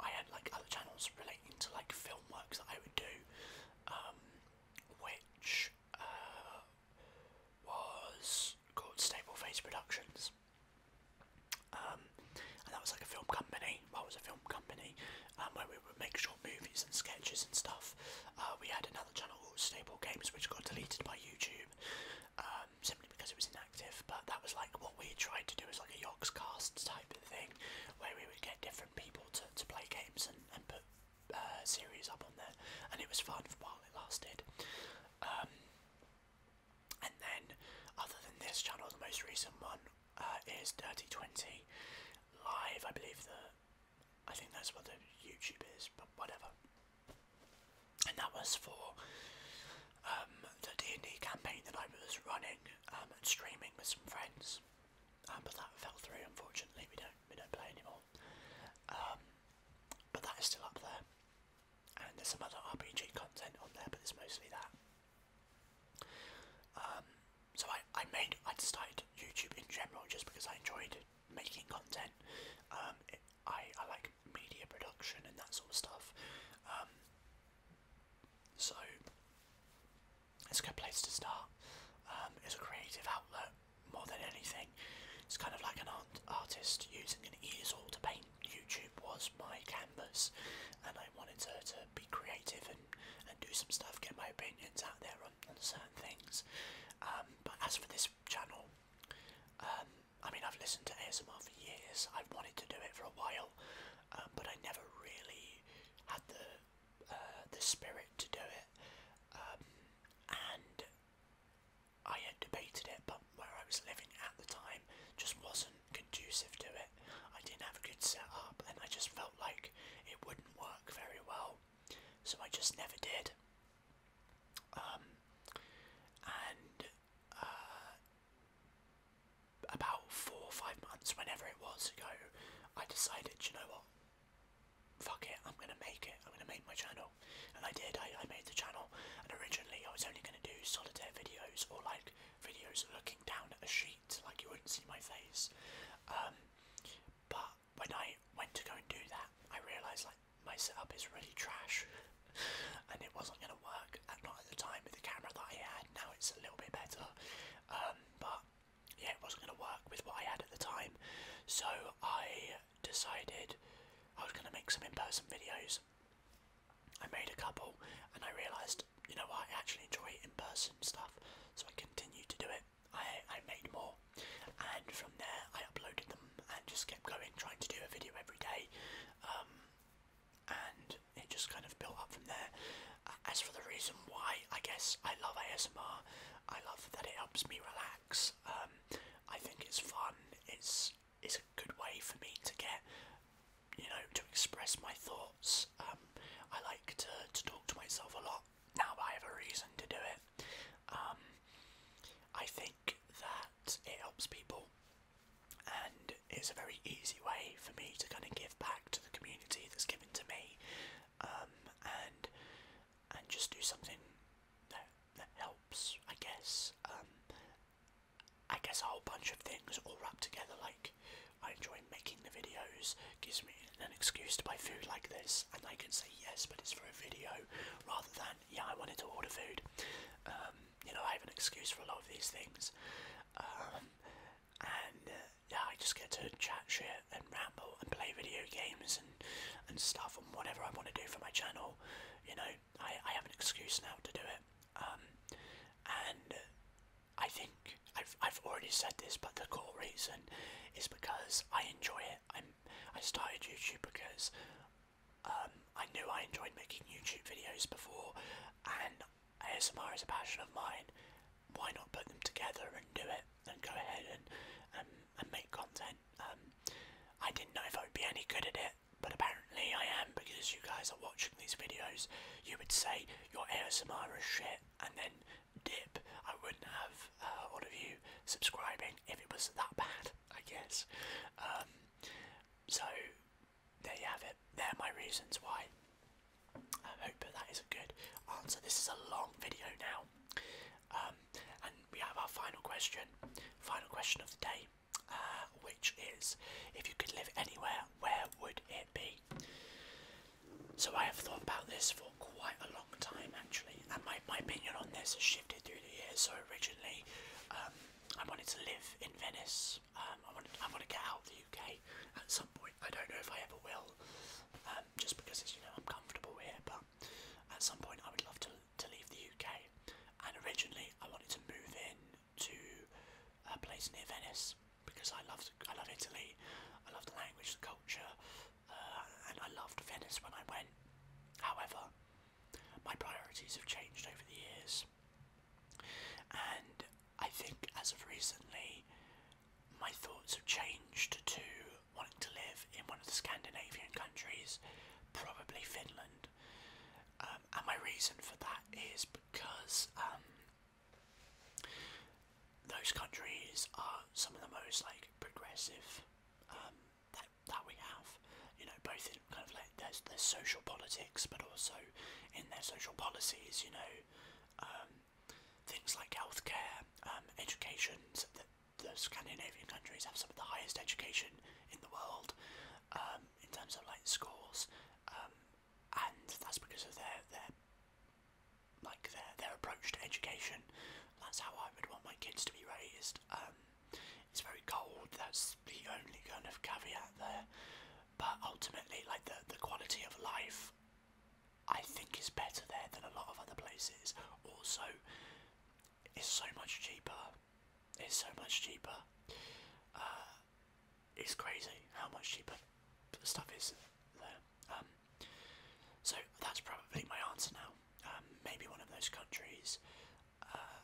Speaker 1: I had like other channels relating to like film works that I would do, um, which uh, was called Stable Face Productions. Um, and that was like a film company. Well, was a film company um, where we would make short movies and sketches and stuff. Uh, we had another channel called Stable Games, which got deleted by YouTube um, simply because it was inactive. But that was like what we tried to do was like a Yogscast type of thing, where we would get different people to, to play games and, and put uh, series up on there, and it was fun for while it lasted. Um, and then, other than this channel, the most recent one uh, is Dirty Twenty Live. I believe the, I think that's what the YouTube is, but whatever. And that was for um, the D and D campaign that I was running um, and streaming with some friends, um, but that fell through. Unfortunately, we don't we don't play anymore. Um, but that is still up there. And there's some other RPG content on there, but it's mostly that. Um, so I, I made, I started YouTube in general just because I enjoyed making content. Um, I, I like media production and that sort of stuff. so it's a good place to start. it's a creative outlet more than anything. It's kind of like an art artist using an easel to paint. YouTube was my canvas, and I wanted to, to be creative and, and do some stuff, get my opinions out there on, on certain things. Um, but as for this channel, um, I mean, I've listened to ASMR for years, I've wanted to do it for a while, um, but I never really had the uh, the spirit to do it, um, and I had debated it, but where I was living at the time just wasn't conducive to it. I didn't have a good setup, and I just felt like it wouldn't work very well, so I just never did. Um, and uh, about four or five months, whenever it was ago, I decided, you know what, fuck it, I'm gonna make it, I'm gonna make my channel. And I did, I, I made the channel, and originally I was only gonna do solitaire videos, or like, videos looking down at a sheet, like you wouldn't see my face. Um, but when I went to go and do that, I realised like, my setup is really trash, and it wasn't gonna work, not at the time with the camera that I had, now it's a little bit better, um, but yeah, it wasn't going to work with what I had at the time. So I decided I was going to make some in person videos. I made a couple and I realised, you know I actually enjoy in person stuff. So I continued to do it. I, I made more and from there I uploaded them and just kept going, trying to do a video every day. Um, and it just kind of built up from there. As for the reason why I guess I love ASMR. I love that it helps me relax. Um, I think it's fun. It's it's a good way for me to get, you know, to express my thoughts. Um, I like to talk to myself a lot. Now I have a reason to do it. Um, I think that it helps people, and it's a very easy way for me to kind of give back to the community that's given to me. Um, and and just do something that that helps. I guess. Um, I guess a whole bunch of things all wrapped together. Like I enjoy making the videos. Gives me an excuse to buy food like this, and I can say yes, but it's for a video rather than yeah, I wanted to order food. Um, you know, I have an excuse for a lot of these things. and uh, yeah, I just get to chat shit and ramble and play video games and and, stuff and whatever I want to do for my channel, you know, I, I have an excuse now to do it. Um, and I think I've, I've already said this, but the core reason is because I enjoy it. I'm, I started YouTube because um, I knew I enjoyed making YouTube videos before, and ASMR is a passion of mine. Why not put them together and do it and go ahead and and make content. Um, I didn't know if I would be any good at it, but apparently I am because you guys are watching these videos. You would say your ASMR is shit and then dip. I wouldn't have uh, all of you subscribing if it was that bad, I guess. Um, so there you have it. There are my reasons why. I hope that that is a good answer. This is a long video now. Um, and we have our final question, final question of the day, uh, which is if you could live anywhere, where would it be? So I have thought about this for quite a long time actually, and my, my opinion on this has shifted through the years. So originally, um, I wanted to live in Venice. Um, I want I want to get out of the UK at some point. I don't know if I ever will, um, just because it's you know I'm comfortable here. But at some point, I would love to to leave the UK, and originally I wanted to move in to a place near Venice because I loved I love Italy, I love the language, the culture, uh, and I loved Venice when I went. However, my priorities have changed over the years, and I think as of recently, my thoughts have changed too wanting to live in one of the Scandinavian countries, probably Finland. Um, and my reason for that is because um, those countries are some of the most like progressive um, that that we have. You know, both in kind of like there's their social politics, but also in their social policies. You know, things like healthcare, um, education, the Scandinavian countries have some of the highest education in the world um, in terms of like schools, um, and that's because of their their like their their approach to education. That's how I would want my kids to be raised. Um, it's very cold. That's the only kind of caveat there. But ultimately, like the the quality of life I think is better there than a lot of other places. Also, it's so much cheaper. It's so much cheaper. Uh, it's crazy how much cheaper stuff is there. Um, so that's probably my answer now. Um, maybe one of those countries. Uh,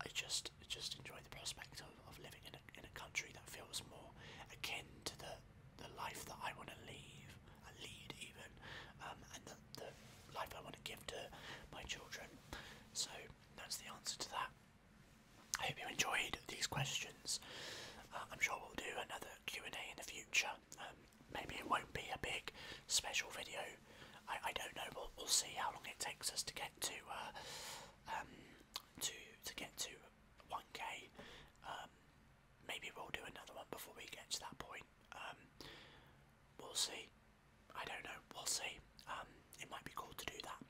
Speaker 1: I just just enjoy the prospect of, of living in a, in a country that feels more akin to the the life that I want to leave, uh, lead even, um, and the, the life I want to give to my children. So that's the answer to that. I hope you enjoyed these questions. Uh, I'm sure we'll do another Q&A in the future. Um, maybe it won't be a big special video. I, I don't know. We'll, we'll see how long it takes us to get to uh, um, to to get to 1k maybe we'll do another one before we get to that point. Um, we'll see. I don't know. We'll see. Um, it might be cool to do that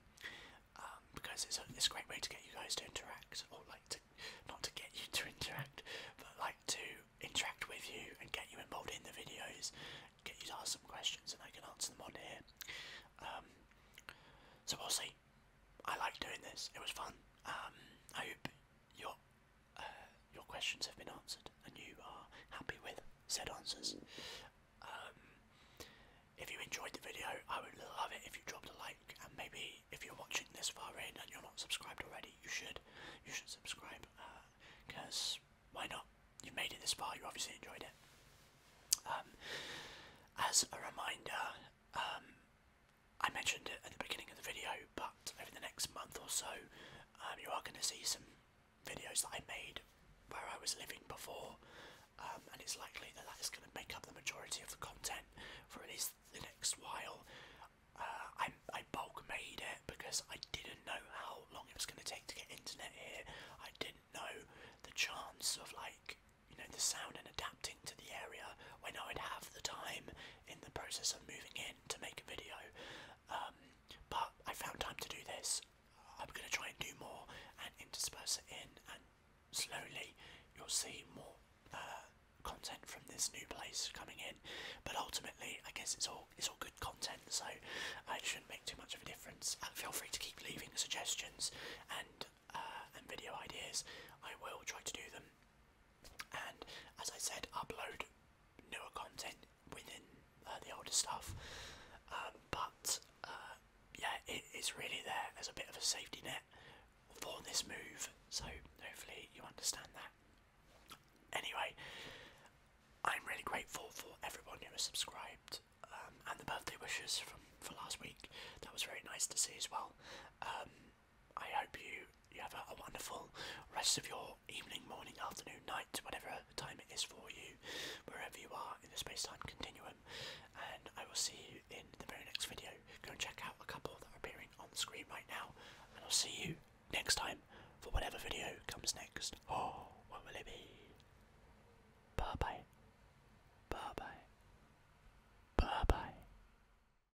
Speaker 1: um, because it's a, it's a great way to get you guys to interact, or like to not to get you to interact, but like to interact with you and get you involved in the videos, get you to ask some questions, and I can answer them on here. so we'll see. I like doing this. It was fun. I hope you your questions have been answered and you are happy with said answers. Um, if you enjoyed the video, I would love it if you dropped a like, and maybe if you're watching this far in and you're not subscribed already, you should. You should subscribe, because uh, why not? You've made it this far, you obviously enjoyed it. Um, as a reminder, um, I mentioned it at the beginning of the video, but over the next month or so, um, you are going to see some videos that I made where I was living before, um, and it's likely that that is going to make up the majority of the content for at least the next while. Uh, I, I bulk made it because I didn't know how long it was going to take to get internet here. I didn't know the chance of like you know the sound and adapting to the area when I would have the time in the process of moving in to make a video. Um, but I found time to do this. I'm going to try and do more and intersperse it in, and slowly you'll see more uh, content from this new place coming in. But ultimately, I guess it's all it's all good content, so it shouldn't make too much of a difference. Uh, feel free to keep leaving suggestions and uh, and video ideas. I will try to do them and as I said, upload newer content within uh, the older stuff. Um, but uh, yeah, it is really there as a bit of a safety net for this move. So hopefully you understand that. Anyway, I'm really grateful for everyone who has subscribed um, and the birthday wishes from for last week. That was very nice to see as well. Um, I hope you you have a, wonderful rest of your evening, morning, afternoon, night, whatever time it is for you, wherever you are in the space-time continuum. And I will see you in the very next video. Go and check out a couple that are appearing on the screen right now, and I'll see you next time for whatever video comes next. Oh, what will it be? Bye bye. Bye bye. Bye bye.